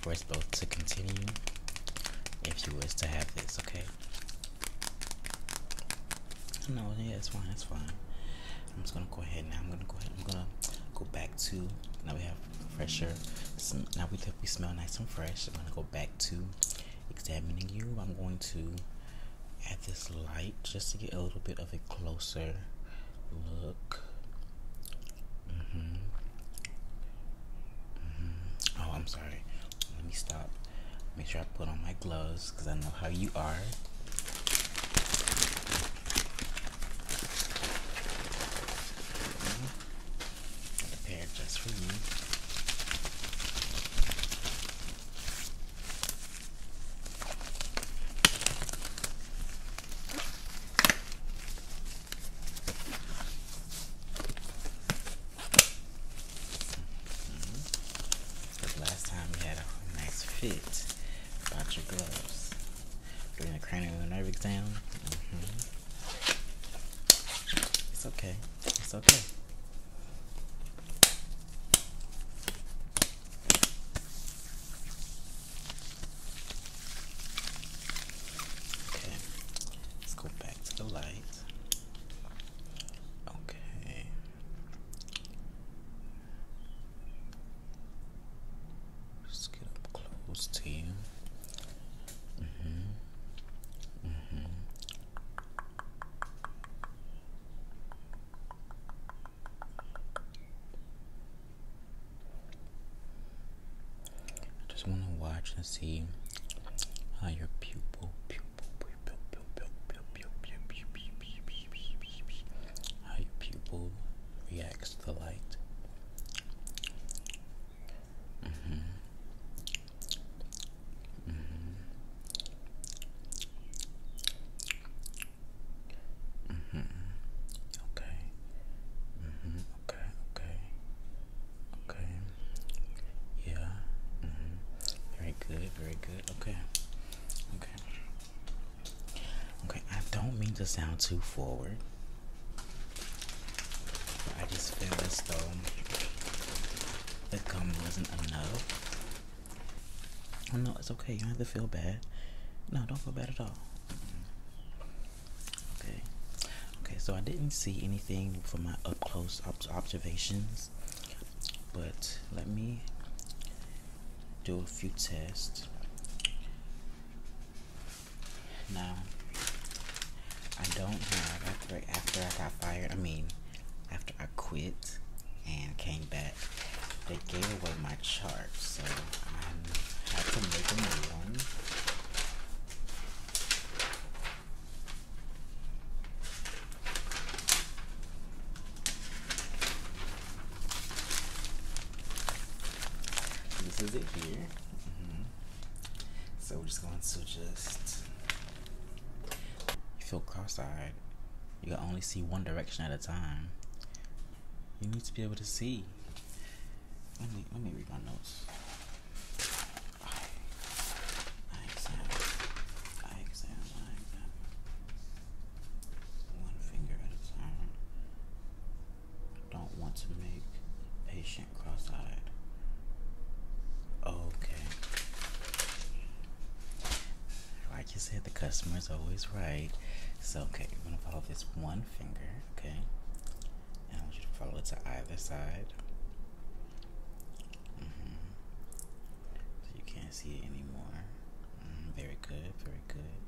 for us both to continue if you wish to have this, okay? No, yeah, it's fine, it's fine. I'm just gonna go ahead now. I'm gonna go ahead. I'm gonna go back to now we have fresher. Now we definitely smell nice and fresh. I'm gonna go back to examining you. I'm going to add this light just to get a little bit of a closer look. Mm-hmm. Mm-hmm. Oh, I'm sorry. Let me stop. Make sure I put on my gloves because I know how you are. Okay. Prepared just for you. Mm-hmm. last time we had a nice fit about your gloves during the cranial nerve exam. Mm -hmm. It's okay. It's okay. Okay, let's go back to the light. Okay. Just get up close to you. Mm-hmm. mm-hmm. I just want to watch and see how your pupil, how your pupil reacts to the light. Mm -hmm. Mm -hmm. Mm -hmm. Okay. Mm -hmm. Okay. Okay. Okay. Yeah. Mm -hmm. Very good. Very good. Okay. Okay. Okay. I don't mean to sound too forward. I just feel as though the gum wasn't enough. Oh, no, it's okay. You don't have to feel bad. No, don't feel bad at all. Okay. Okay, so I didn't see anything from my up close observations, but let me do a few tests. Now, I don't have after after I got fired. I mean, after I quit and came back, they gave away my chart, so I had to make a new one. This is it here. Mm-hmm. So we're just going to just. You feel cross eyed. You can only see one direction at a time. You need to be able to see. Let me, let me read my notes eye exam, eye exam, eye exam. One finger at a time. I don't want to make patient cross-eyed. Okay. Like you said, the customer is always right. So okay, we're gonna follow this one finger, okay? I want you to follow it to either side. Mm-hmm. So you can't see it anymore. Mm-hmm. Very good, very good.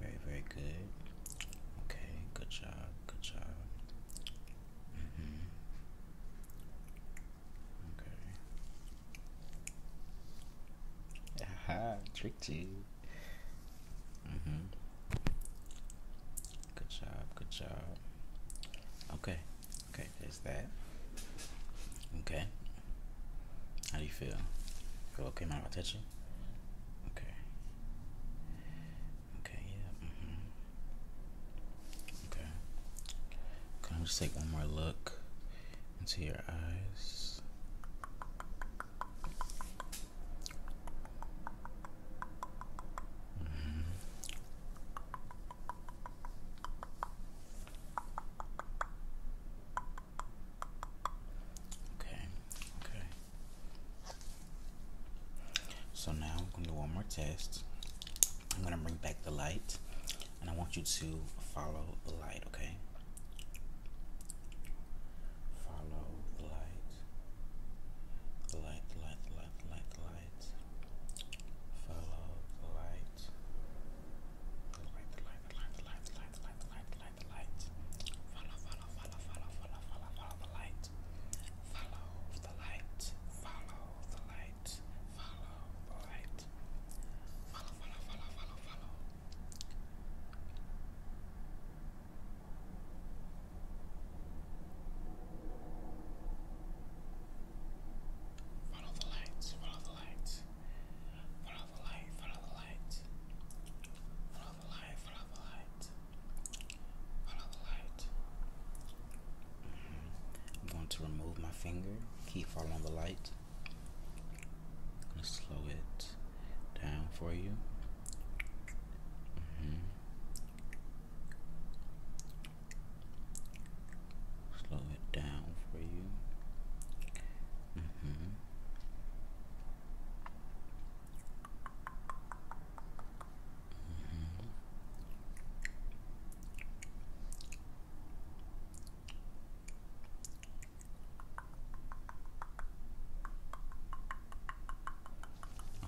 Very, very good. Okay, good job, good job. Mm-hmm. Okay. Aha, <laughs> tricked Mm-hmm. Good job, good job. Okay, okay, there's that. Okay. How do you feel? Feel okay, Mom? I touch you? Okay. Okay, yeah. Mm -hmm. Okay. Can I just take one more look into your eyes? Mm-hmm. Okay, okay. So now I'm going to do one more test. I'm going to bring back the light and I want you to follow the light, okay? follow the light, the light, the light, the light, the light, the light, follow the light, the light, the light, the light, the light, the light, the light, the light, the light, the light, follow, follow, follow, follow, follow, follow, follow the light, follow the light, follow the light, follow the light, follow, follow, follow, follow, follow. Follow the lights, follow the lights. Follow the light, follow the light. Follow the light, follow the light. Follow the light. I'm going to remove my finger, keep following the light. going to slow it down for you. Mm-hmm. Slow it down for you. Mm-hmm. Mm-hmm.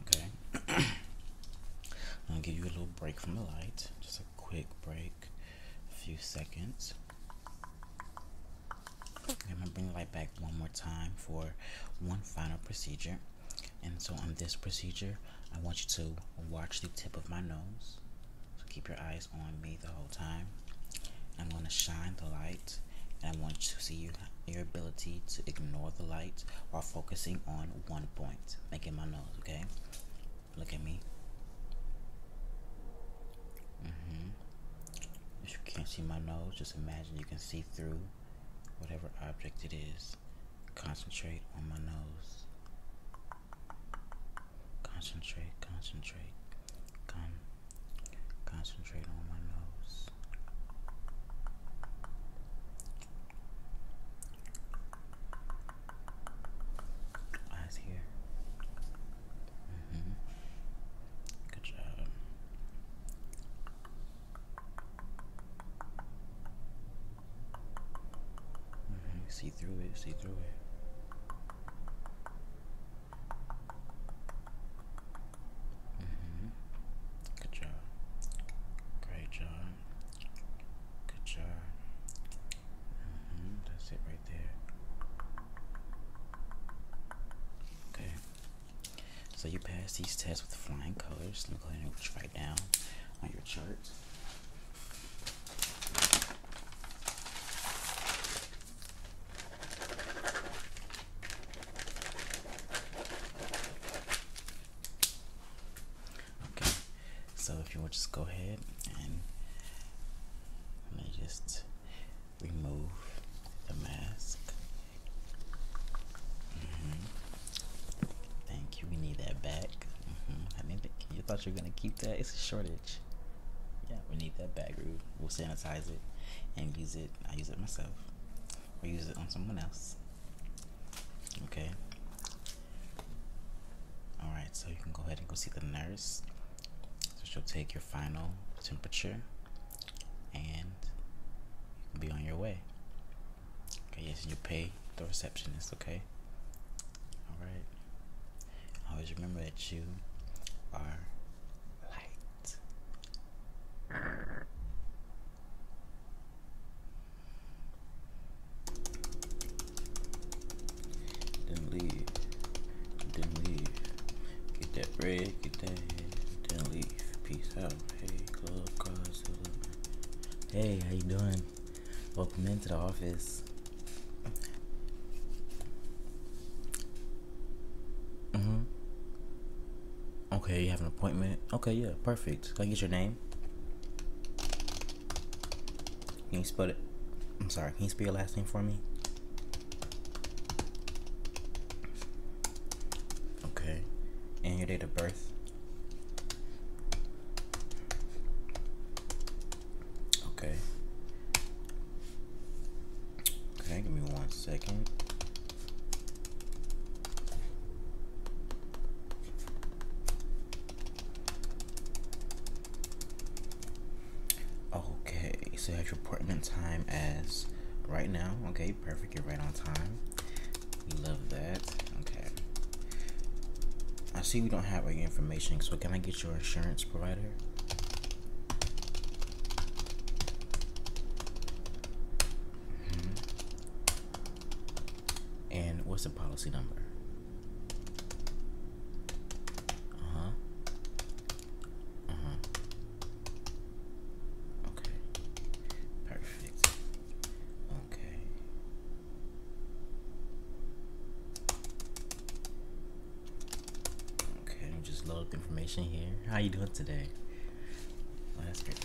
Okay. i gonna give you a little break from the light. Just a quick break. A few seconds. I'm going to bring the light back one more time for one final procedure. And so on this procedure, I want you to watch the tip of my nose. So keep your eyes on me the whole time. I'm going to shine the light and I want you to see your, ability to ignore the light while focusing on one point. Making my nose, okay? Look at me. Mm-hmm. If you can't see my nose, just imagine you can see through whatever object it is. Concentrate on my nose. Concentrate, concentrate, con concentrate on my nose. Eyes here. -hmm. Good job. Mm-hmm. See through it, see through it. -hmm. Good job. Great job. Good job. Mm-hmm, that's it right there. Okay. So you pass these tests with flying colors. Let me go ahead and reach right down on your chart. Okay, so if you will just go ahead and let me just remove the mask. Mm-hmm. Thank you. We need that back. Mm-hmm. I need You thought you were gonna keep that? It's a shortage. Yeah, we need that back. We'll sanitize it and use it. I use it myself. We use it on someone else. Okay. Alright, so you can go ahead and go see the nurse. So she'll take your final temperature and you can be on your way. Okay, yes, and you pay the receptionist, okay? Alright. Always remember that you are light. Then leave. Then leave. Get that bread, get that head, then leave. Peace out. Hey, how you doing? Welcome into the office. Mm-hmm. Okay, you have an appointment. Okay, yeah, perfect. Can I get your name? Can you spell it? I'm sorry, can you spell your last name for me? Okay. And your date of birth? Okay. Okay, give me one second. Okay, so you have your appointment time as right now. Okay, perfect. You're right on time. love that. Okay. I see we don't have your information, so can I get your insurance provider? Mm-hmm. And what's the policy number? Uh huh. Uh huh. Okay. Perfect. Okay. Okay, just load up information here. How you doing today? Let's get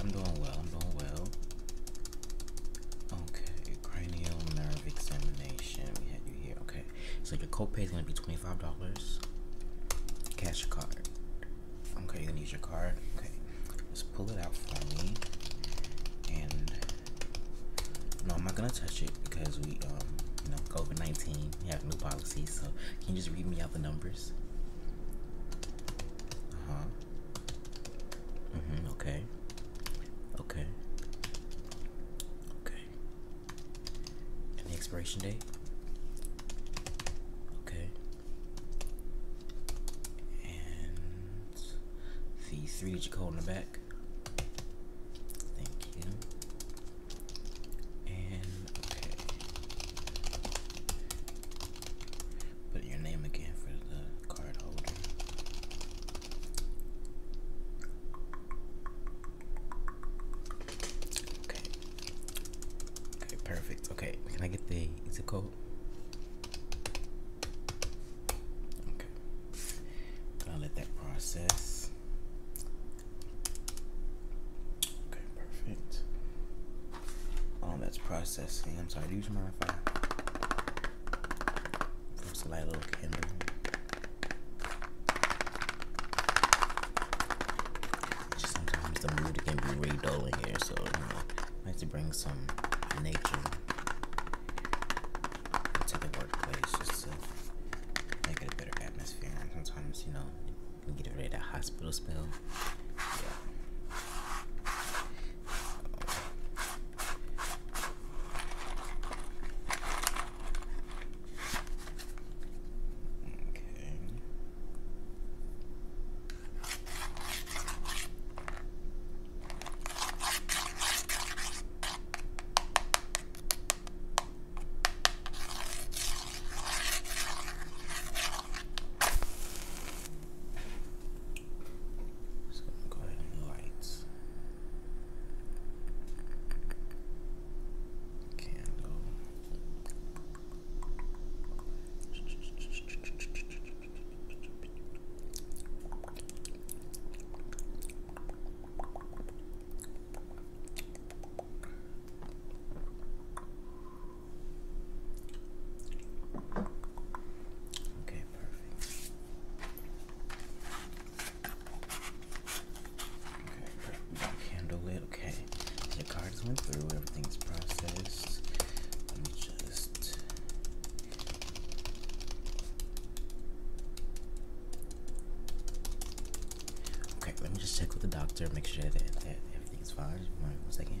I'm doing well. I'm doing well. Okay, cranial nerve examination. We had you here. Okay, so your copay is gonna be twenty five dollars. Cash card. Okay, you're gonna use your card. Okay, just pull it out for me. And no, I'm not gonna touch it because we um, you know COVID nineteen. We have new policies. So can you just read me out the numbers? Uh huh. Mm -hmm, okay. Okay. Okay. And the expiration date? Okay. And the three digit code in the back. Thank you. And okay. Put your name again for the card holder. Okay. Okay, perfect. Okay, can I get the zip code? Okay. Gonna let that process. Okay, perfect. Um, that's processing. I'm sorry. Do you mind if I just light a little candle? Just sometimes the mood can be really dull in here, so you know, like to bring some nature to the workplace just to make it a better atmosphere. And sometimes, you know, Get rid of that hospital smell. Okay. So i go ahead and lights. Candle. Okay, perfect. Okay, perfect. Handle it. Okay, the cards went through. Everything's processed. Let me just. Okay, let me just check with the doctor. Make sure that, everything is fine. One second.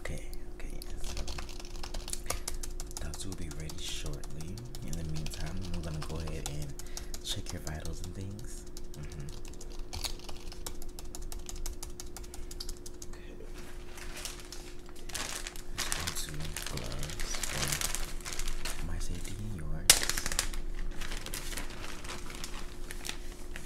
Okay, okay, so will be ready shortly. In the meantime, I'm gonna go ahead and check your vitals and things. Mm -hmm. Okay. Just to gloves my safety and yours.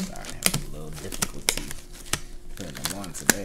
Sorry, i a little difficulty putting them on today.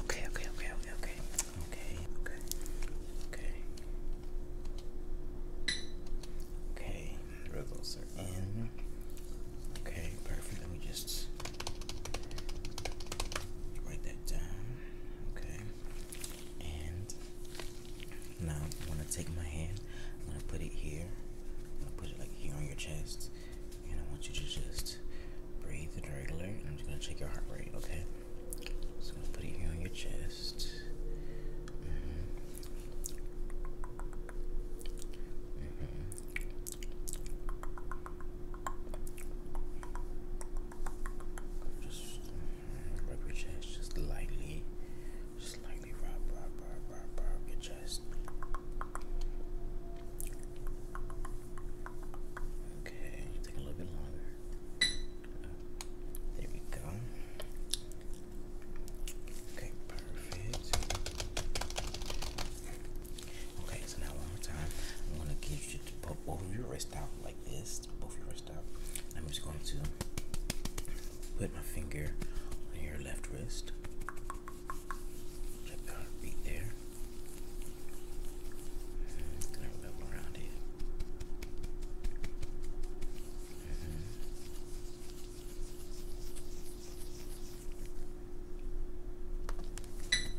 Okay, okay, okay, okay, okay, okay, okay, okay. Okay, those are in. Okay, perfect. Let me just write that down. Okay, and now I'm gonna take my hand, I'm gonna put it here, I'm gonna put it like here on your chest, and I want you to just breathe the regular. I'm just gonna check your heart rate, okay? So I'm gonna put it here on your chest. Mm-hmm. Mm-hmm. Just Rub your chest just lightly. Just lightly rub, rub, rub, rub, rub your chest. Okay, take a little bit longer. Uh, there we go. Okay, perfect. Okay, so now one more time. I'm gonna get you to pop both of your wrists out like this. Both your wrists I'm just going to put my finger on your left wrist. Check there. Mm-hmm. Gonna rub around it. Mm-hmm.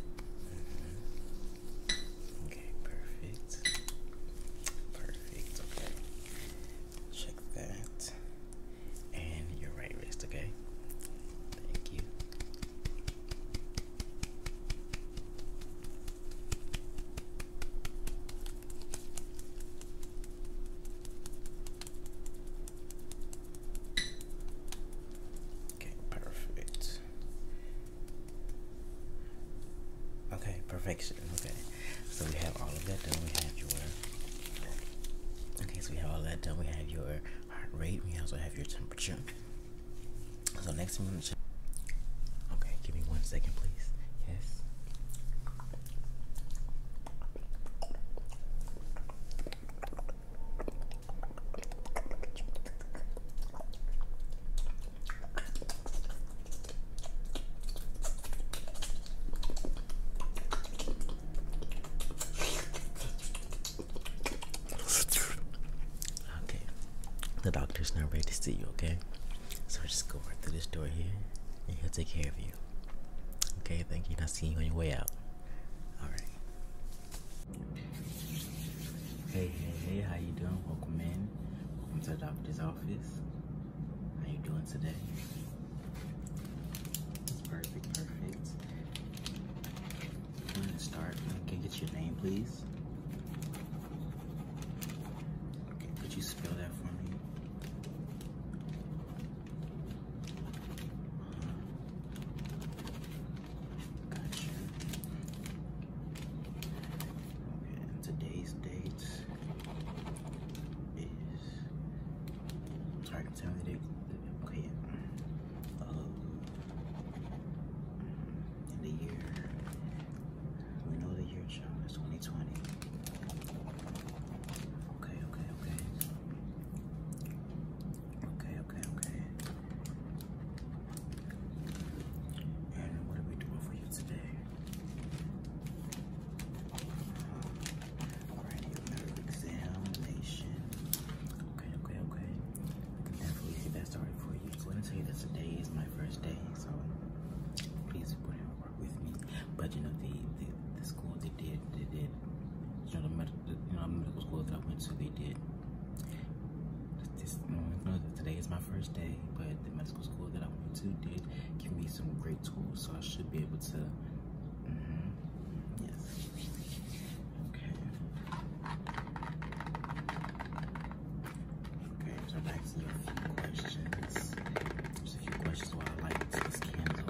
Mm-hmm. Okay, perfect. Perfect, okay. Check that. And your right wrist, okay? Thank you. Okay, perfect. Okay, perfection. Okay, so we have all of that done. We have your okay, so we have all that done. We have your heart rate. We also have your temperature. So next we am gonna check. Okay, give me one second, please. Yes. Okay, the doctor's not ready to see you, okay? So just go right through this door here and he'll take care of you. Okay, thank you. I'll see you on your way out. Alright. Hey, hey, hey, how you doing? Welcome in. Welcome to the doctor's office. How you doing today? perfect, perfect. I'm gonna start. Can I get your name, please? could you spell that for me? Uh-huh. Okay, today's date is sorry, tell me they okay uh, in the year we know the year child is 2020. Okay, okay, okay. Okay, okay, okay. And what we doing for you today? medical examination. Okay, okay, okay. definitely get that for you. So, let me tell you that today is my first day, so please put in work with me. But you know, the the, the school they did, they did. You know, the medical, you know, medical school that I went to, they did. This, you know, today is my first day, but the school that I went to did give me some great tools, so I should be able to. Mm-hmm, yes. Okay. Okay, so back a few questions. There's a few questions why I like this candle.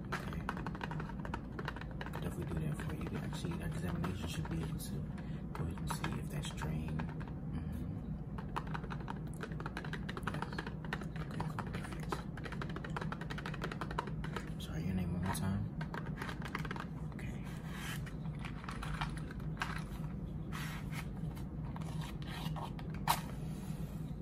Okay. Definitely do that for you. Actually, an examination should be able to go ahead and see if that's drained. Mm-hmm. Sorry, your name one more time.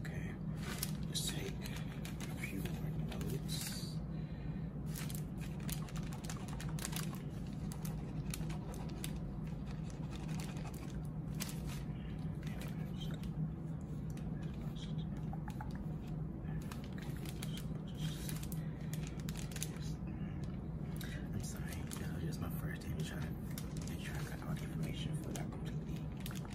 Okay, let's take a few more notes. I'm sorry, this was just my first time trying to, to all the information for that completely. Okay,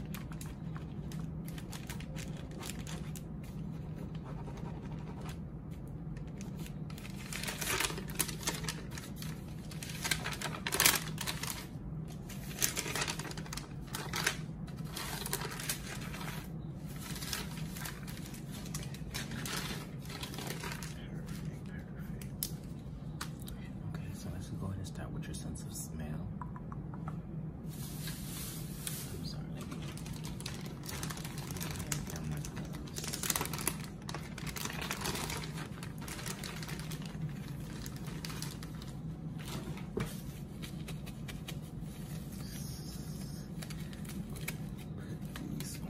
so let's go ahead and start with your sense of smell. I'm sorry, let me get down my clothes. Put these on.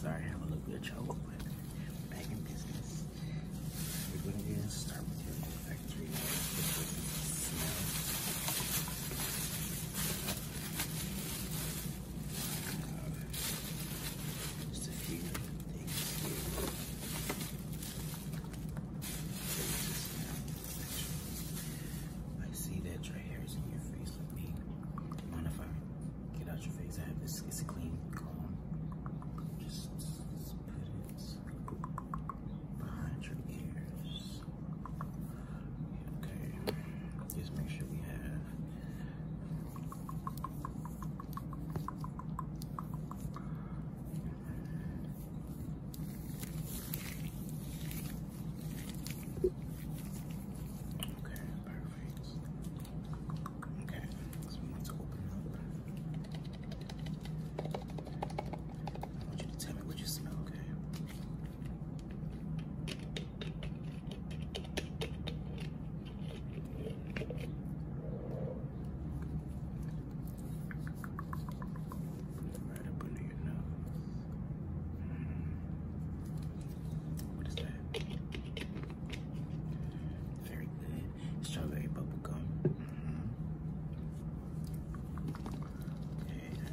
Sorry, I'm a little bit of trouble, but back in business. We're gonna start with your factory smell. I see that your hair is in your face with me. Mind if I get out your face? I have this, it's a clean just put it behind your ears. Okay, just make sure we have Okay, perfect. Okay, so we open up. I want you to tell me what you smell, Okay, Right up under your nose. What is that? Very good. Strawberry bubble gum. Okay, that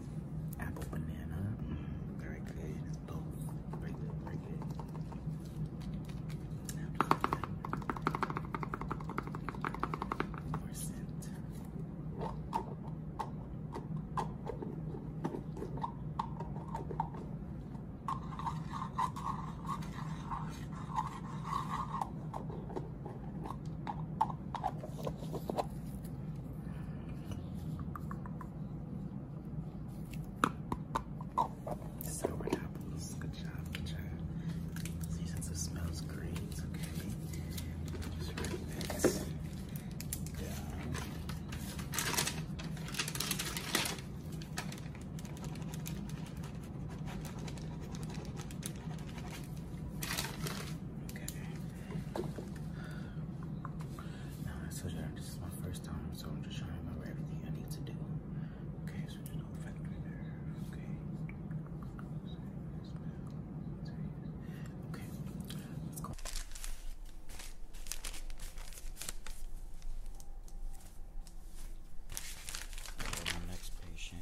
Apple banana. Mm, very good. both. Very good. Very good. More scent. Sour Good job, good job. See, since it smells great, okay. Just write that Okay. Now, I told you this is my first time, so I'm just trying to remember everything I need to do. Okay, so there's no factor there. Okay. Okay, next patient.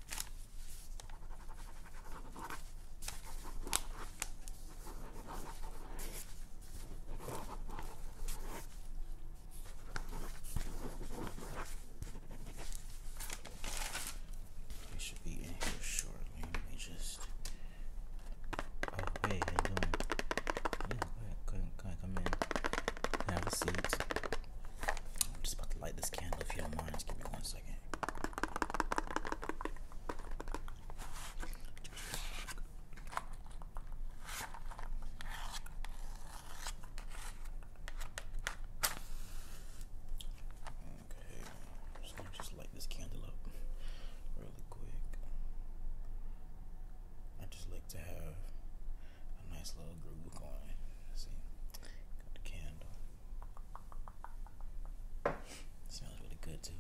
They should be in here shortly. Let me just. Oh, hey, how you doing? come in. Have a seat. I'm just about to light this candle if you don't mind. give me one Okay, i just light this candle up really quick. I just like to have a nice little groove going. see, got candle. It smells really good too.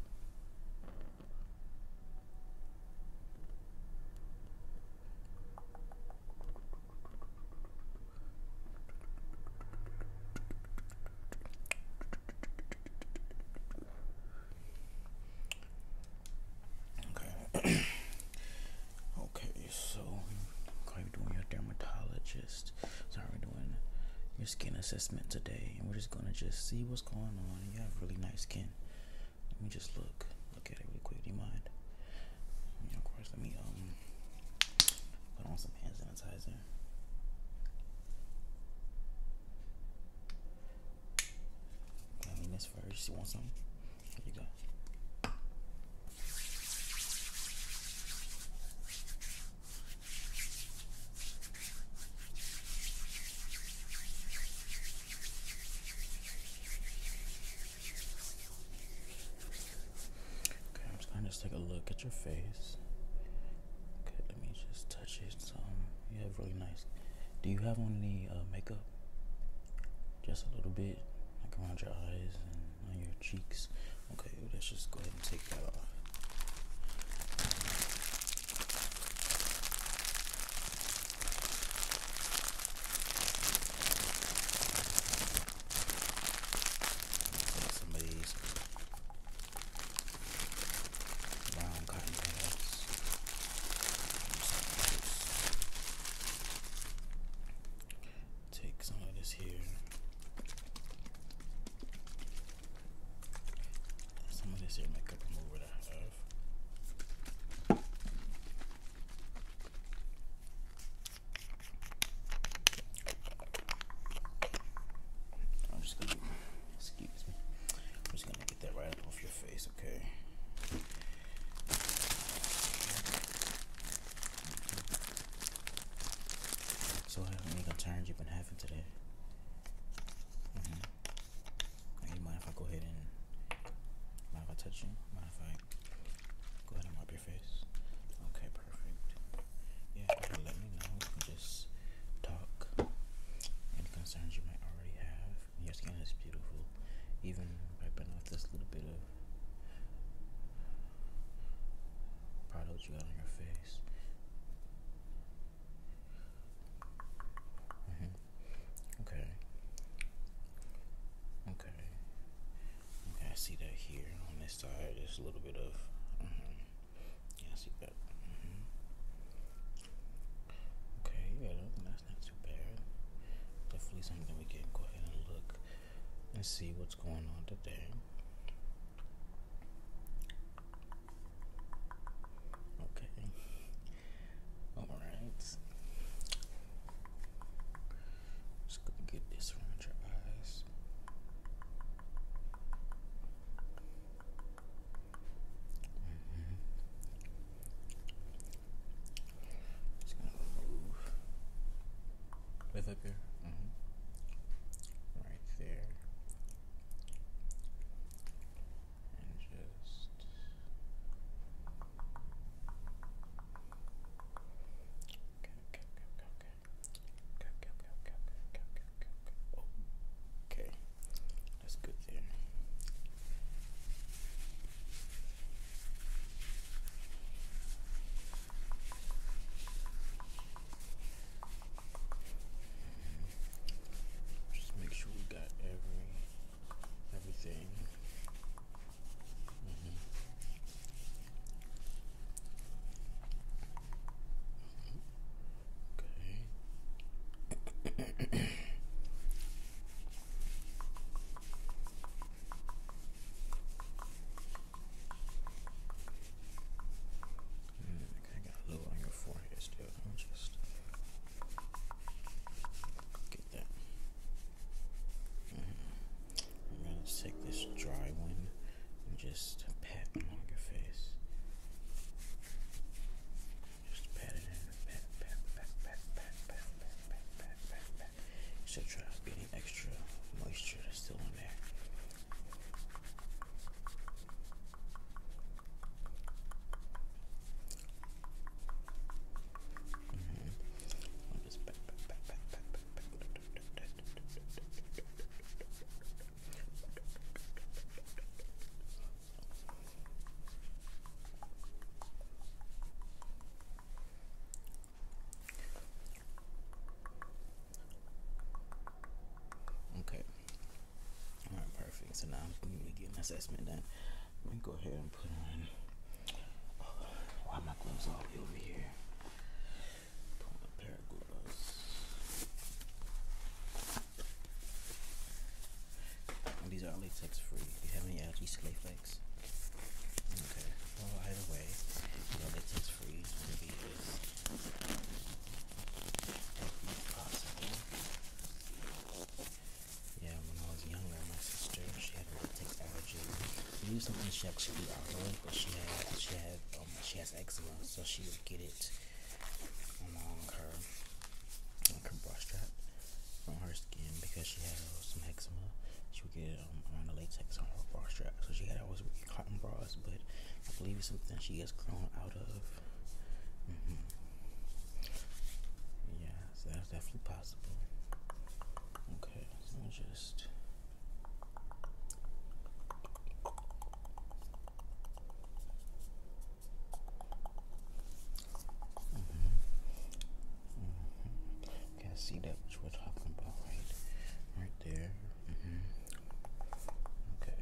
Okay. <coughs> okay, so, are you doing your dermatologist? So we're doing your skin assessment today, and we're just gonna just see what's going on. You have really nice skin. Let me just look, look at it really quick. Do you mind? of course, let me um put on some hand sanitizer. I mean, this first. You want some? Here you go. Okay, I'm just gonna just take a look at your face. Okay, let me just touch it. Some you have really nice. Do you have on any uh, makeup? Just a little bit, like around your eyes on your cheeks. Okay, let's just go ahead and take that off. That's somebody's brown cotton pads. Take some of this here. Some of this makeup remover that I have. I'm just gonna excuse me. I'm just gonna get that right off your face, okay? So how many concerns you've been having today? Mm-hmm. you mind if I go ahead and mind if touch you? Mind if I go ahead and mop your face? Okay, perfect. Yeah, let me know. just talk. Any concerns you might already have. Your skin is beautiful. Even wiping off this little bit of Prado what you got on your face. Mm-hmm. Okay. Okay. I see that here on this side. There's a little bit of. Mm-hmm. Yeah, I see that. Mm-hmm. Okay, yeah, that's not too bad. Definitely something we can go ahead and look and see what's going on today. Okay. All right. Just gonna get this around your eyes. Mm-hmm. Just gonna move. Live up here. Mm-hmm right there. And just Okay, that's good there. Okay. Just make sure we got every everything. Mm-hmm. Okay. I got a little on your forehead still. I'll just get that. I'm gonna take this dry one and just pat along your face. Just pat it in, pat, pat, pat, pat, pat, pat, pat, pat, pat, pat, pat. So try get any extra moisture that's still in there. Mm -hmm. I'll just back, back, back, back, back, back, back. Okay. All right, perfect. So now I'm going get my assessment done. Let me go ahead and put on. Oh, why my gloves all the way over here? Put on a pair of gloves. Oh, these are latex free. Do you have any allergies to latex? Okay. Well, either way, yeah, when I was younger, my sister she had multiple allergy. We used something she actually be alcoholic, but she had she had um, she has eczema, so she would get it along her like strap on her skin because she had some eczema. She would get it um, on the latex on her bra strap, so she had always get cotton bras, but I believe it's something she has grown out of. Mm-hmm. Yeah, that's definitely possible. Okay, let me just. Mm I see that what we're talking about, right? Right there. Okay.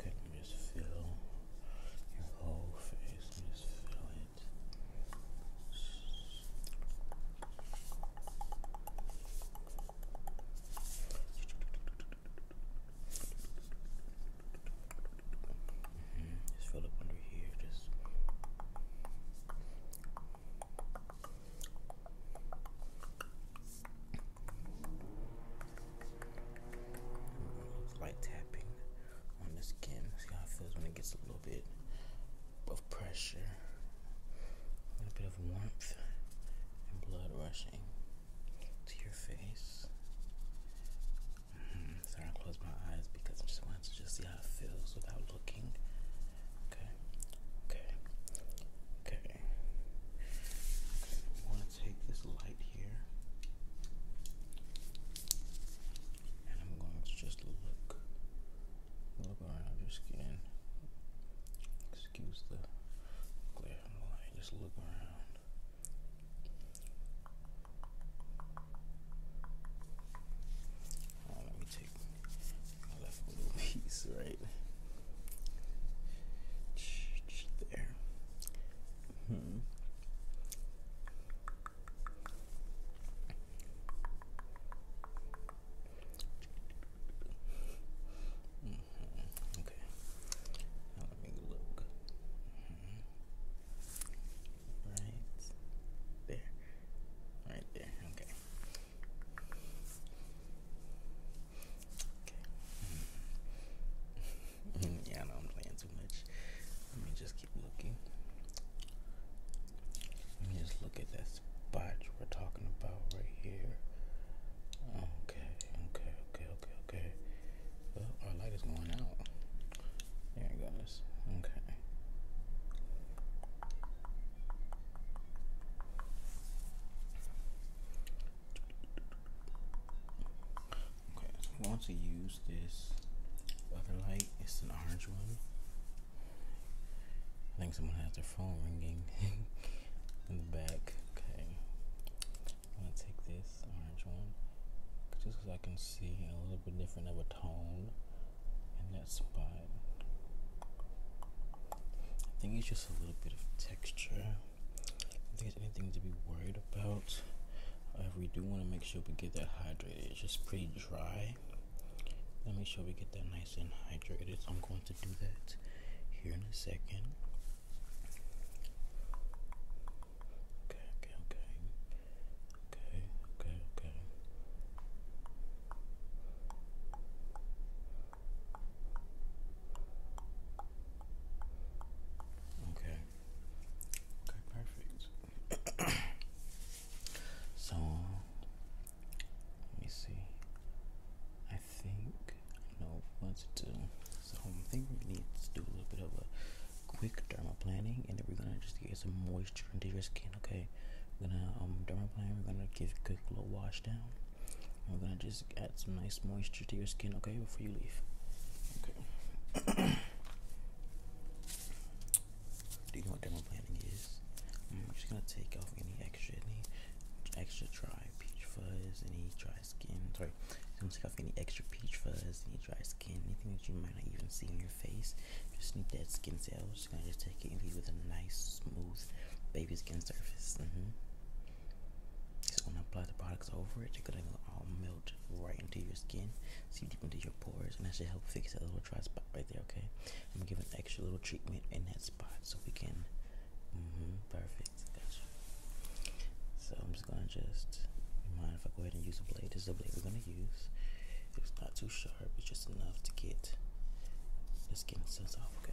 Okay, just feel your whole face. just feel it. Mm-hmm. Just fill up under here, just it's tapping on the skin. See how it feels when it gets a little bit of pressure, a little bit of warmth, and blood rushing to your face. Mm-hmm. sorry, I closed my eyes because I just wanted to just see how it feels without looking. Okay okay, okay. okay. I want to take this light here, and I'm going to just look, look around your skin. Excuse the glare from the light. Just look around. let me take left little piece right there. Hmm. Okay. let me look. Hmm. Right there. Right there. Okay. Mm. <laughs> yeah, I know I'm playing too much. Let me just keep looking. Let me just look at that spot we're talking about right here. Okay, okay, okay, okay, okay. Well, our light is going out. There it goes. Okay. Okay, I'm to use this other light. It's an orange one. I think someone has their phone ringing <laughs> in the back. Okay, I'm gonna take this orange one just because I can see a little bit different of a tone in that spot. I think you should a little bit of texture. I think there's anything to be worried about. If uh, we do want to make sure we get that hydrated. It's just pretty dry. Let me make sure we get that nice and hydrated. So I'm going to do that here in a second. Okay, okay, okay. Okay, okay, okay. Okay. Okay, perfect. <coughs> so let me see. I think I know what to do. So I think we need to do a little bit of a quick planning, and then we're gonna just get some moisture into your skin, okay? We're gonna um dermaplane, we're gonna give a quick little wash down. We're gonna just add some nice moisture to your skin, okay, before you leave. Okay. <coughs> Do you know what dermal planning is? Mm, I'm just gonna take off any extra, any extra dry peach fuzz, any dry skin. Sorry, I'm gonna take off any extra peach fuzz, any dry skin, anything that you might not even see in your face. Just need that skin cells. Just gonna just take it and leave with a nice, smooth baby skin surface. Mm-hmm. Just gonna apply the products over it. You're gonna all melt right into your skin, see deep into your pores, and that should help fix that little dry spot right there. Okay, I'm gonna give an extra little treatment in that spot so we can. Mm -hmm, perfect. Gotcha. So I'm just gonna just. Mind if I go ahead and use a blade? This is the blade we're gonna use. It's not too sharp. It's just enough to get Let's get off, Okay.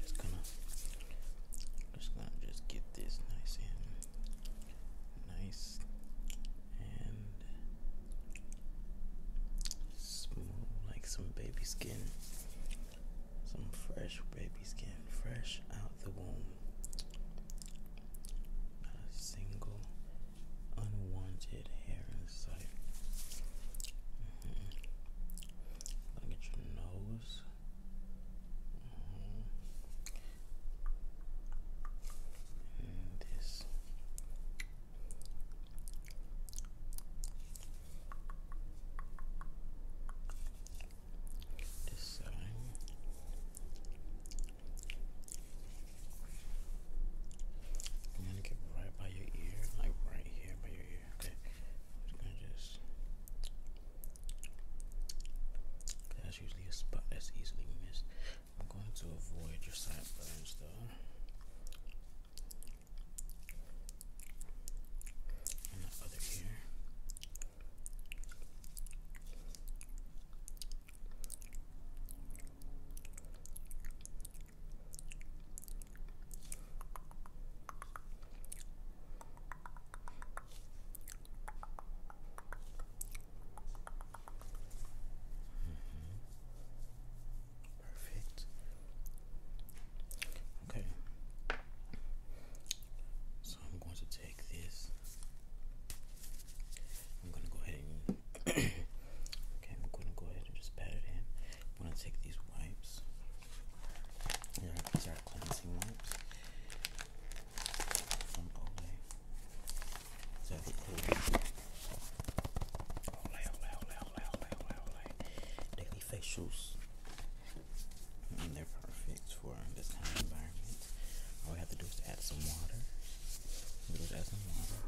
Just gonna, just gonna just get this nice and nice and smooth like some baby skin some fresh baby skin fresh out the womb not a single unwanted hair in sight mm -hmm. look your nose mm-hmm this this side I'm get right by your ear, like right here by your ear. Okay, just gonna just. That's usually a spot that's easily missed. I'm going to avoid your sideburns, though. And the other ear. Mm -hmm. Perfect. Okay. So I'm going to take this. I'm going to go ahead and <clears throat> okay, I'm going to go ahead and just pat it in. I'm going to take these wipes. These are cleansing wipes. Daily facials. Mm, they're perfect for this kind of environment. All we have to do is add some water. We just add some water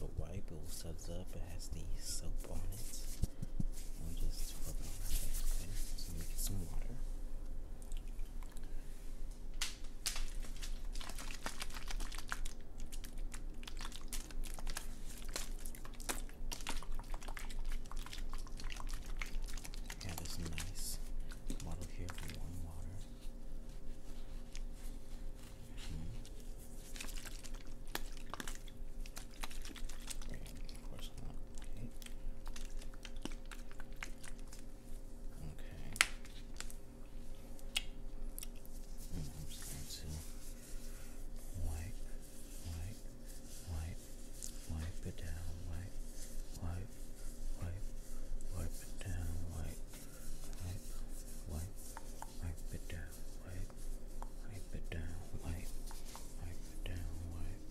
on wipe. It suds up. It has the soap on it. we just rub some water. Yeah, there's nice bottle here for warm water. Wait, hmm. of course not. Okay. Okay. And i wipe, wipe, wipe, wipe it down, wipe, wipe, wipe, wipe it down, wipe, wipe, wipe, wipe it down, wipe, wipe it down, wipe, wipe it down, wipe.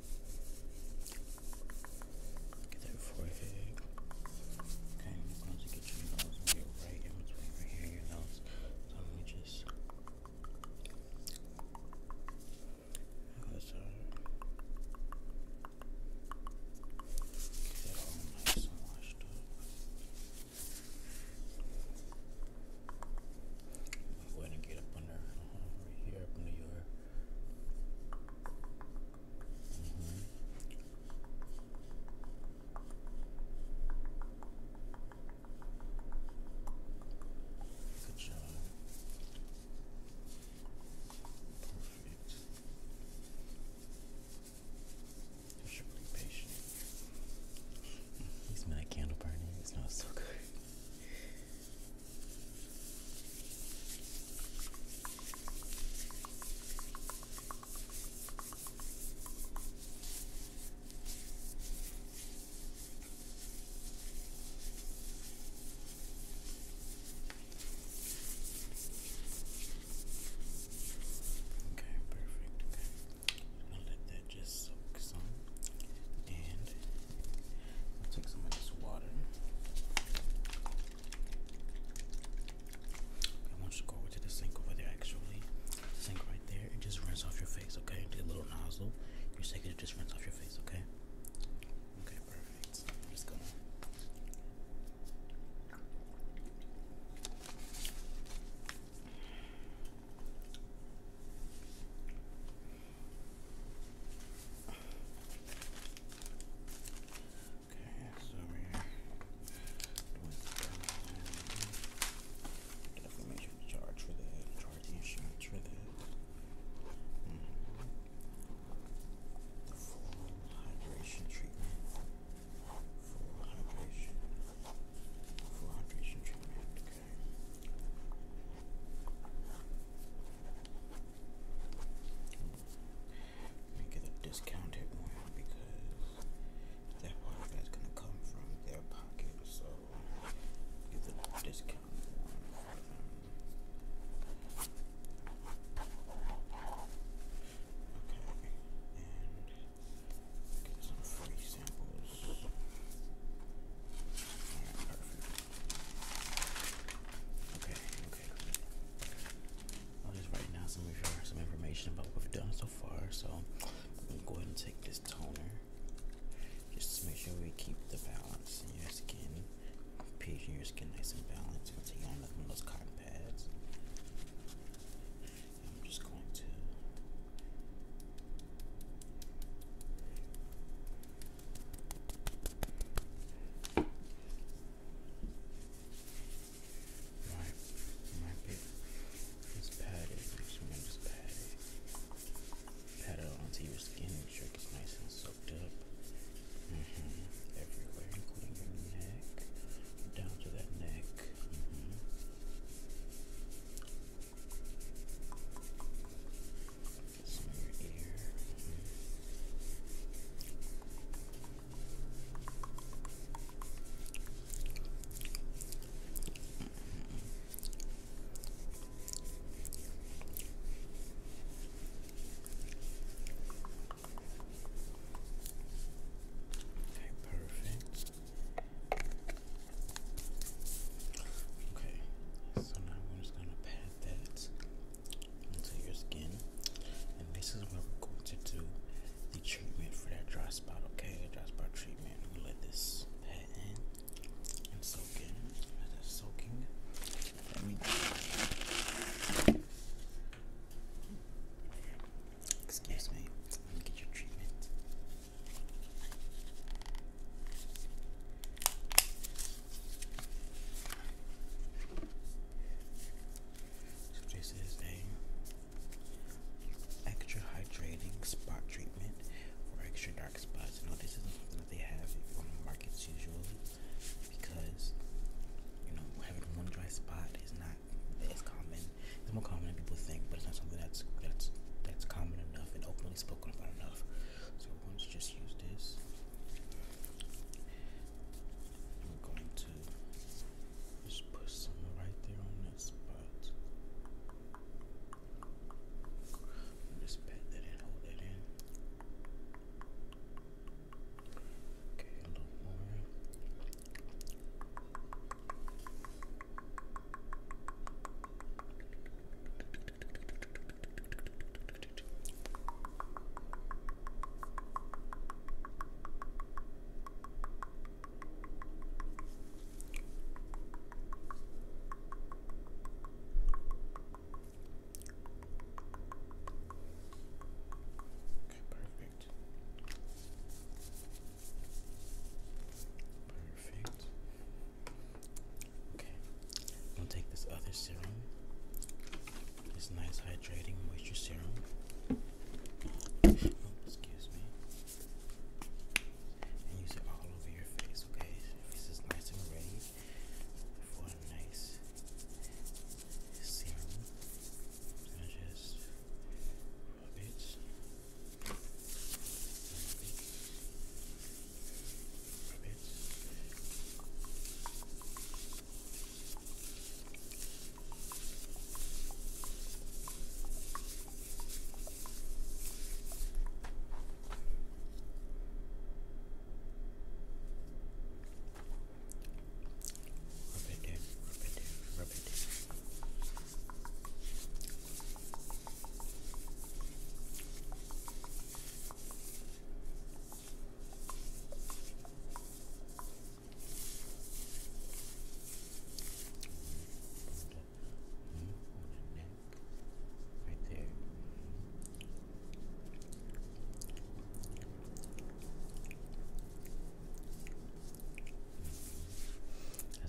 Get that forehead. Okay, I'm going to get your nose on your right in between right here, your nose. So I'm just. Other side. Get that all nice and washed up. I'm going get up under, uh, right here, up under your. Mm Good job. Perfect. You're really patient. He's not candle burning. It smells so good. Okay, perfect. Okay. I'm let that just soak some and I'll take some of this water. I want you to go over to the sink over there, actually. sink right there, and just rinse off your face, okay? Take a little nozzle. You are take it just rinse off your face, okay? Okay, perfect. just going Okay, so we Definitely make sure to charge for that, charge the for The full hydration treatment. Full hydration. Full hydration treatment, Okay. Let me get a discounted one because that water that's gonna come from their pocket, so get the discounted one Okay, and get some free samples. perfect. Okay, okay, I'll just write down some some information about what we've done so far. So I'm gonna go ahead and take this toner. Just to make sure we keep the balance in your skin. pH your skin nice and balanced. take one of those cotton pads. I'm just going to my, my bit is padded. So i just pat Pat it onto your skin, make sure it nice and soaked up. Everywhere, including your neck, down to that neck. Smell your perfect. Okay, so now I'm just gonna pat that into your skin. And this is where we're going to do the treatment for that dry spot, okay? The dry spot treatment. let this pat in and soak in. As it's soaking, Excuse me. Let me get your treatment. So this is a extra hydrating spot treatment for extra dark spots. No, this is something that they have on the markets usually because you know having one dry spot is not as common. It's more common than people think, but it's not something that's that's that's common enough and openly spoken about enough other ones, just use this. I'm going to just put some right there on that spot. Just pat that in, hold that in. Okay, a little more. Okay, perfect. Perfect. Okay. I'm gonna take this other serum, this nice hydrating moisture serum. Oh, excuse me. And use it all over your face, okay? Your face is nice and ready for a nice serum. gonna just Rub it. Rub it. Rub it in, rub it in, rub it in. Rub Right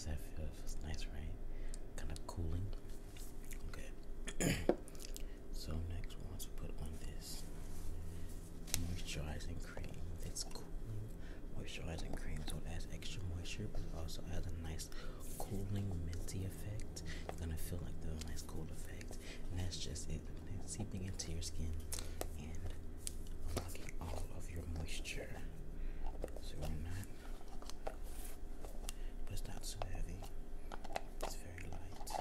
that feel? nice, right? Kind of cooling. Okay. <clears throat> So next we want to put on this moisturizing cream. It's cooling moisturizing cream, so it adds extra moisture, but it also has a nice cooling minty effect. gonna feel like there's nice cool effect, and that's just it. seeping into your skin and unlocking all of your moisture. So we're not but it's not too heavy. It's very light.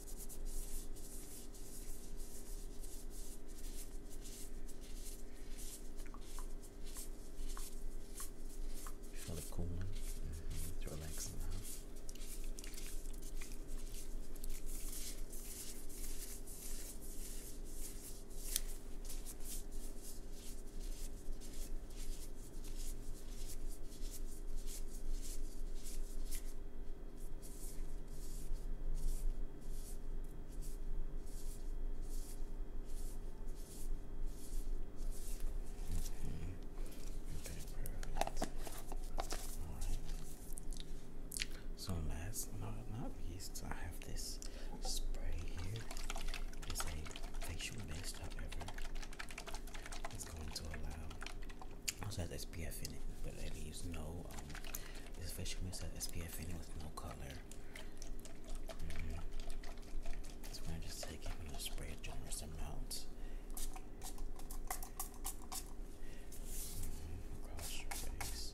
You feel cooling, mm now. Okay, so last not not least, I have this spray here. It's a facial mist, however. It's going to allow also has SPF in it, but it leaves no. Um, this facial mist has SPF in it with no color. Mm-hmm. So we just take it and just spray it generous amounts. Mm-hmm. Across your face.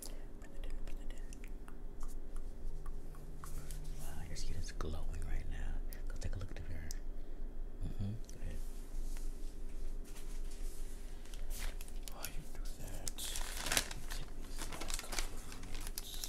Put it in, put it in. Wow, your skin is glowing right now. Go take a look at the mirror. Mm-hmm. Go ahead. While you do that, take these last couple of minutes.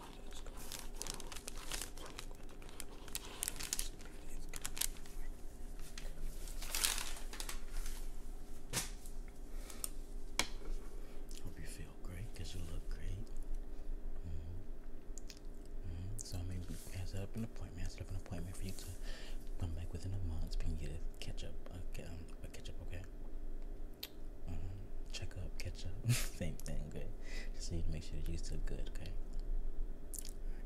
Hope you feel great because you look great. Mm-hmm. Mm-hmm. So maybe I set up an appointment. set up an appointment for you to come back within a month. We can get catch up. Um, okay, catch up. Okay. Mm-hmm. check up, catch up, <laughs> same thing, good. Just need to make sure that you're still good, okay?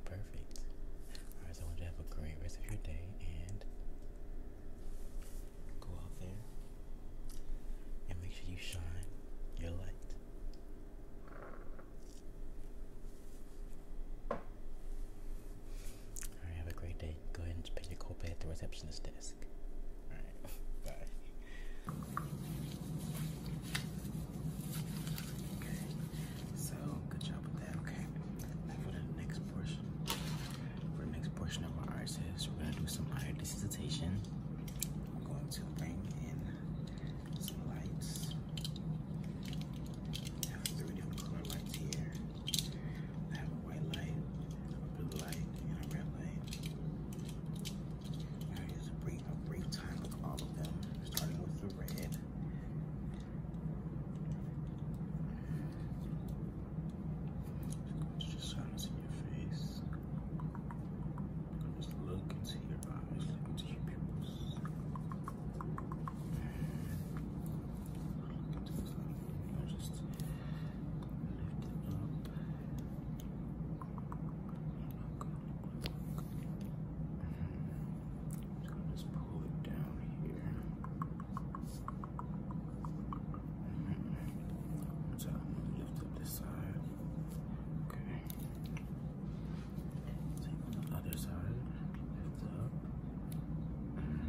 perfect. Alright, so I want you to have a great rest of your day and go out there and make sure you shine your light. Alright, have a great day. Go ahead and pick your call pay at the receptionist desk. Okay, so good job with that, okay? for the next portion. For the next portion of our arts we're gonna do some higher dissertation. going to bring in some lights. have three different color lights here. have a white light, a light red light. Now here's a a brief time of all of them, starting with the red. Just trying to see your face. Just look into your eyes, look into your pupils. Look into the gonna just pull it down here. So I'm gonna lift up this side. Okay. Take the other side. Lift up. Mm-hmm.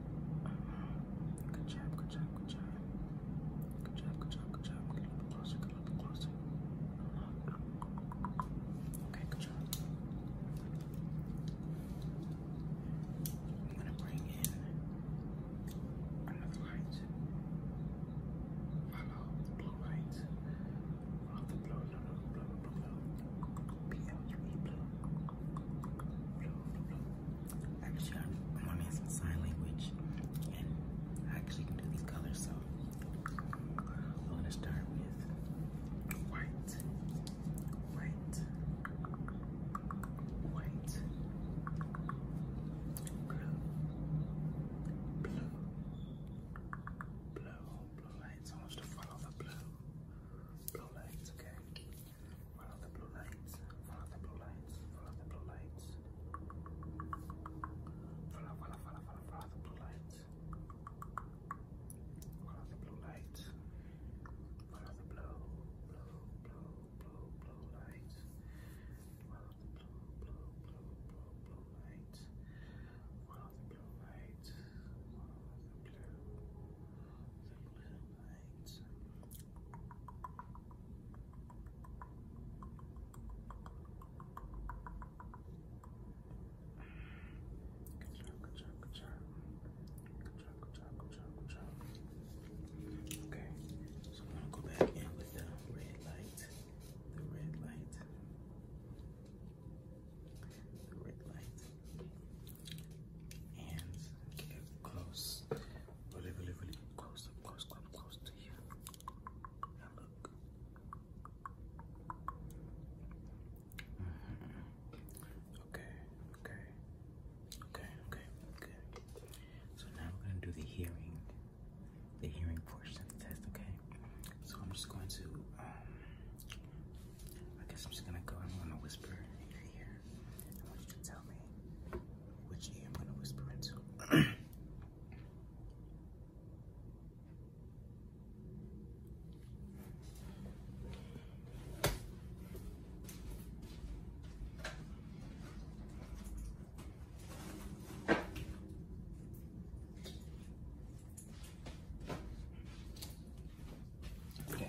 Good job, good job, good job. Good job, good job, good job. Get a little bit closer, get a little bit closer. Okay, good job. I'm gonna bring in another light. Follow the blue light. Follow the blue, no, no, blue, blue, blue. PL3 blue. Blue, blue, blue. Actually, I'm, I'm Sign Language, and I actually can do these colors, so I'm going to start with white, white, white, blue, blue, blue, blue lights. I want you to blue, blue lights, okay? Follow the blue lights. Follow the blue lights. Follow the blue lights. Follow, follow, follow, follow, follow the blue lights. Follow the blue lights. Follow the blue, blue, blue, blue, blue lights. Follow the blue, blue, blue, blue, blue lights. Follow the blue lights. Follow the blue, the blue lights job, good job, good job. Good job, good job, good job, good job. Okay, so I'm gonna go back in with the red light. The red light. The red light and get close, really, really, really close, up close, close, close to you. Now look. Mm-hmm. Okay, okay, okay, okay, okay. So now we're gonna do the hearing, the hearing portion of the test. Okay. So I'm just going to. Um, I guess I'm just gonna go. I'm gonna whisper in I want you to tell me which I I'm going to whisper into. Okay,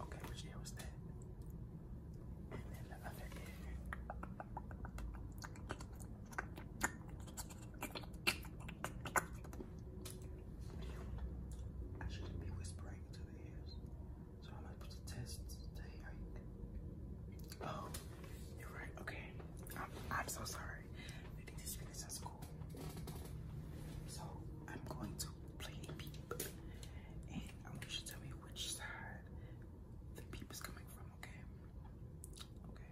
Okay, which ear was that? And then the other I shouldn't be whispering to the ears. So I'm gonna put the test Oh, you're right, okay. I'm, so sorry. I think this is cool. So I'm going to play beep and I want you to tell me which side the peep is coming from, okay? Okay.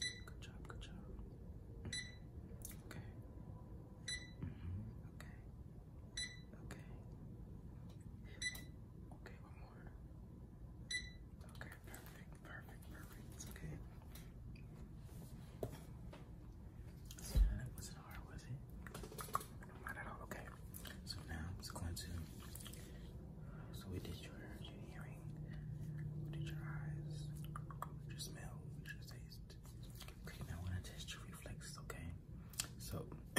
Good job, good job. Okay. mm Okay. Okay. Okay, one more. Okay, perfect, perfect, perfect. It's okay. that wasn't hard, was it? Not at all. Okay. So now I'm just going to so we did your, your hearing, we did your eyes, your smell, we did your taste. Okay, now I want to test your reflexes, okay? So <clears throat> I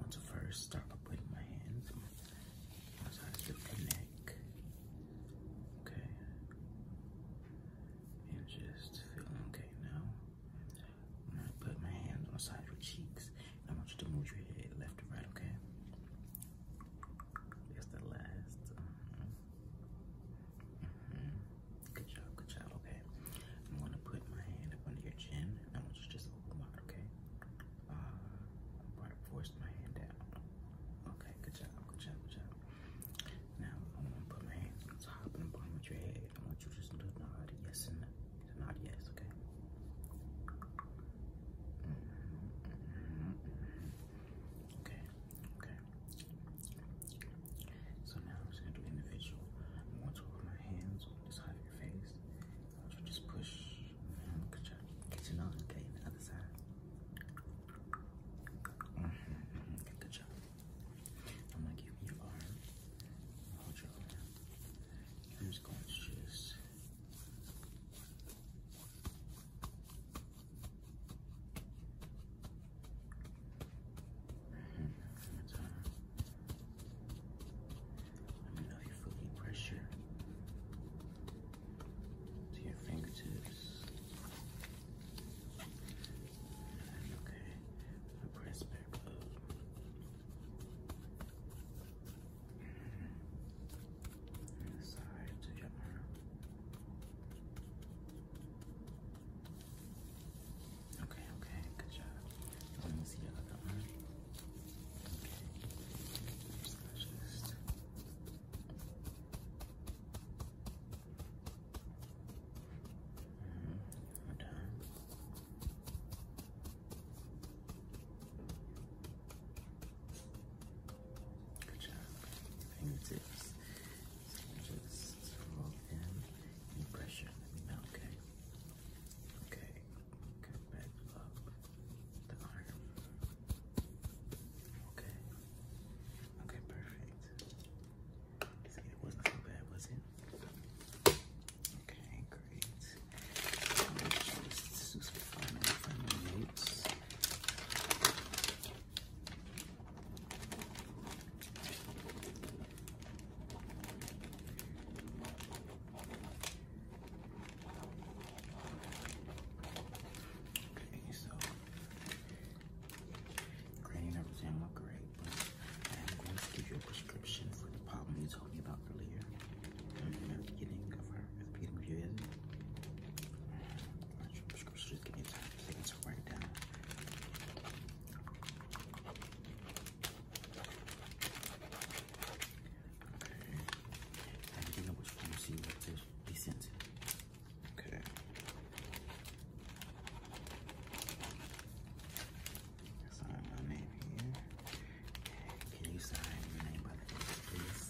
want to first start by putting my hands inside the neck, okay? And just feel okay now. put my hands on the side of your cheeks I want you to move your head left to right, okay? That's the last. Mm -hmm. Mm -hmm. Good job, good job, okay? I'm gonna put my hand up under your chin and I want you to just open wide, okay? Uh, I'm gonna force my hand down. Okay, good job, good job, good job. Now, I'm gonna put my hands on top and bottom of your head. I want you to just nod yes and no. It's not yet, okay. Okay, okay. So now I'm just gonna do individual. I'm going to put my hands on the side of your face. I want you just push and get get your nose, okay, the other side. Mm-hmm, mm-hmm. good job. I'm gonna give you your Hold your arm. I'm just going to just Let me know if you feel any pressure to your fingertips. okay, I press back Sorry to your arm. Okay, okay, good job. Let me see your other arm. Okay. Just done. Good job. Fingertips. just roll in and Okay. Okay. Okay. up the arm. Okay. Okay, perfect. it wasn't so bad, was it? Okay, great. This is Okay, so Granny doesn't sound great, but I am going to give you a prescription for the problem you told me about earlier beginning of our repeating Judaism. Scripture just give me a second to write down. Okay. I'm thinking of which one to see what is Okay. Sign my name here. Can you sign your name by the end, please?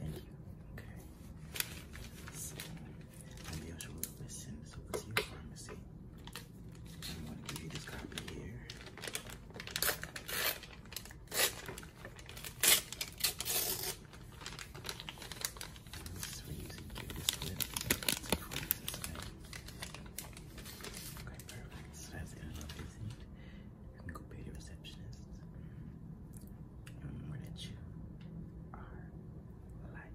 Thank you. Okay. So, I'm the usher will listen. So, your pharmacy. I'm going to give you this copy here. This is for you give this lip. It's Okay, perfect. So that's good enough, isn't it? You go pay the receptionist. And remember that you are light.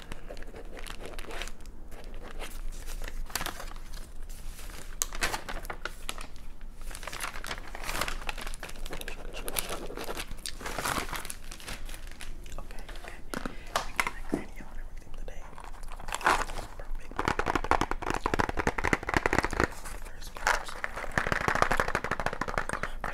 okay. We're on everything today. Perfect. First, first.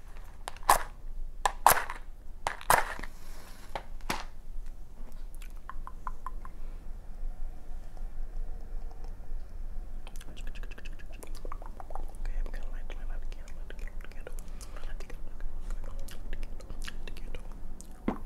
Okay, I'm gonna light, light, light the candle, light the candle, the candle. Light the candle, the candle, light the candle. Okay.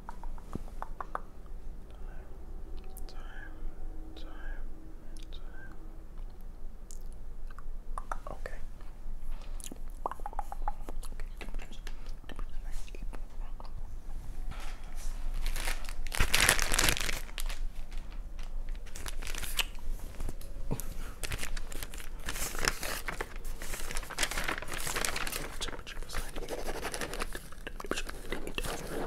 time, time, time. Okay. Temperature was like Fresh, no pack, no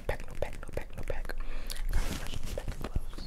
pack, no pack, no pack, no pack. Got fresh, no pack gloves.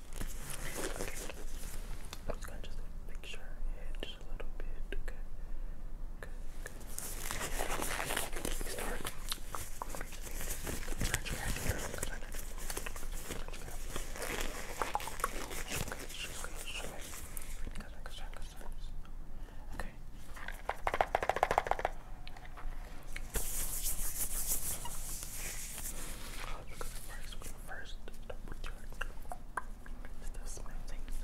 Okay. I'm just gonna just picture your head just a little bit. Okay. Okay. Okay. Start. Stretch your head here. Okay we're gonna first, we're gonna first double check that the smell things.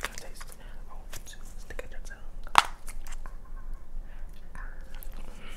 Gonna taste. I want to stick out your tongue. These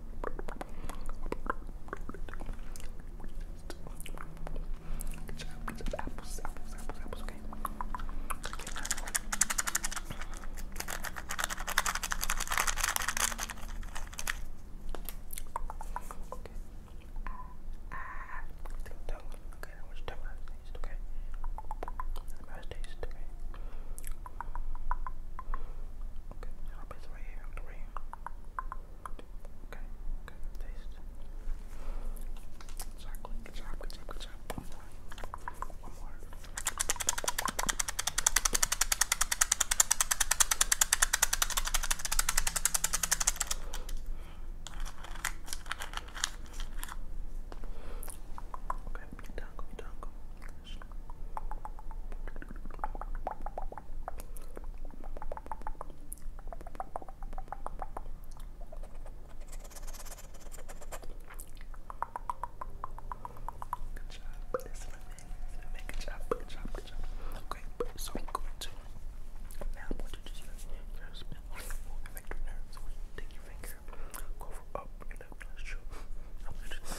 Good job, good job. Apples, apples, apples, apples, okay. Okay. Ah, that one. Okay, that one's tough. Taste, okay. That taste, okay. Okay, I'll place right here. I'm gonna right here. Okay, okay, taste. Chocolate, good job, good job, good job. One more. One more. Okay, we done, we done. Good job. This is my man. Good job. Good job. Good job. Okay, so I'm going to now I'm going to just use your fingers. Affect your nerves. take your finger, go for up and up. Let's shoot. I want you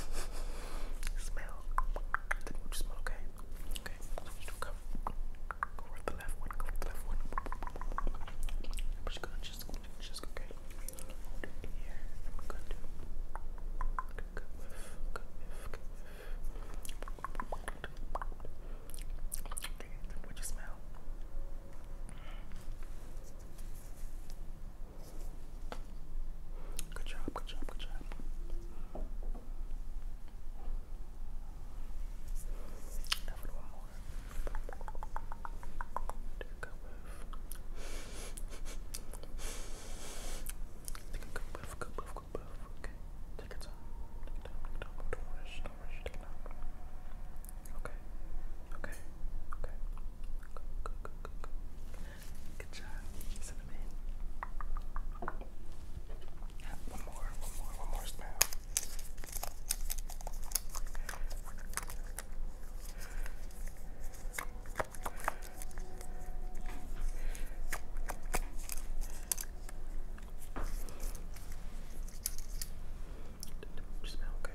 smell. okay? Okay. come. Go with the left one. Go with the left one. I'm just gonna just, just okay. here. And we Good Good Good Okay. what you smell? Good job, good job, good job. Take a whiff. Take a good whiff, good whiff, good whiff. Okay. Take your time. Take your time, take your time. Don't rush, don't rush, take your time. Okay. Okay. Okay. Good, good, good, Good job. One more, one more, one more smell. Smell okay.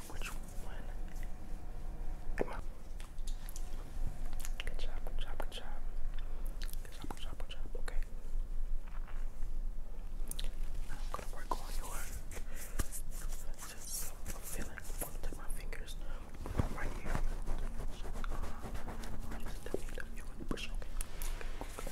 which one. Come on. Good job, good job, good job. Good job, good job, Okay. I'm gonna work on your just feeling i my fingers right here. Uh, just tell me that you want to push, Okay,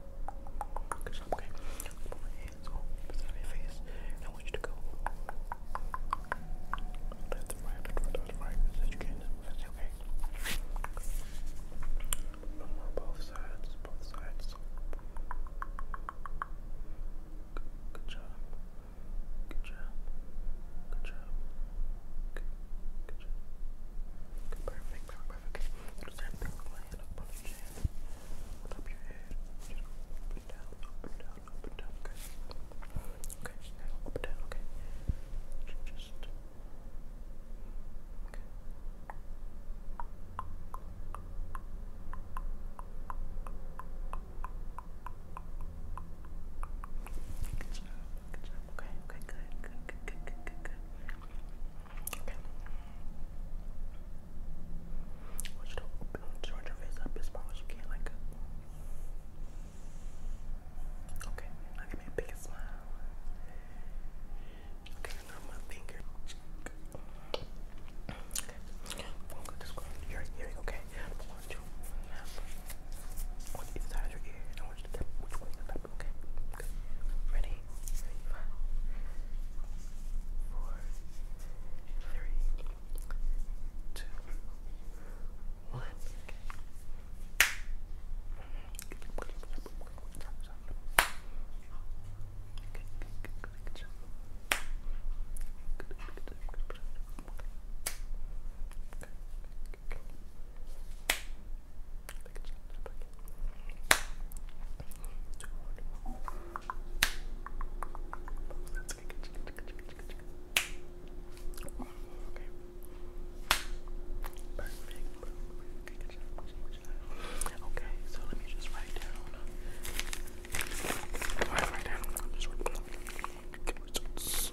Good okay? Put my hands over the your face. I want you to go left and right, right, left, right, That's okay. both sides, both sides. Good job. Good job. Good job. Good, good job. perfect, perfect, Okay line up on your chin, up your head, just up down, up down, up down, okay? Okay, just down, okay? Just, okay. Good job, good job, okay, okay, good, good, good, good, good, good, good. Okay. I want you to open turn your face up as far as you can, like Okay, now give me a big smile. Okay, now my finger. Okay. I'm gonna just go your earring, okay? I want you to your ear. I want you to tap Okay. Ready? Five, four, three, two, one. Okay. Okay. Okay, so let me just write down. Alright, write down. Just write down. Okay, so, so.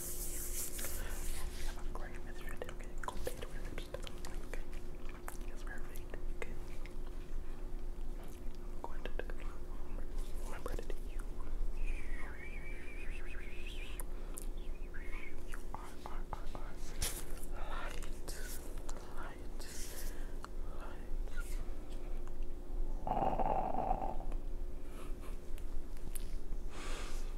I'm a great mistress, okay? Go pay to her lips, okay? Yes, perfect, okay? I'm going to the club. Remember that you, you are, are, are, are light, light, light.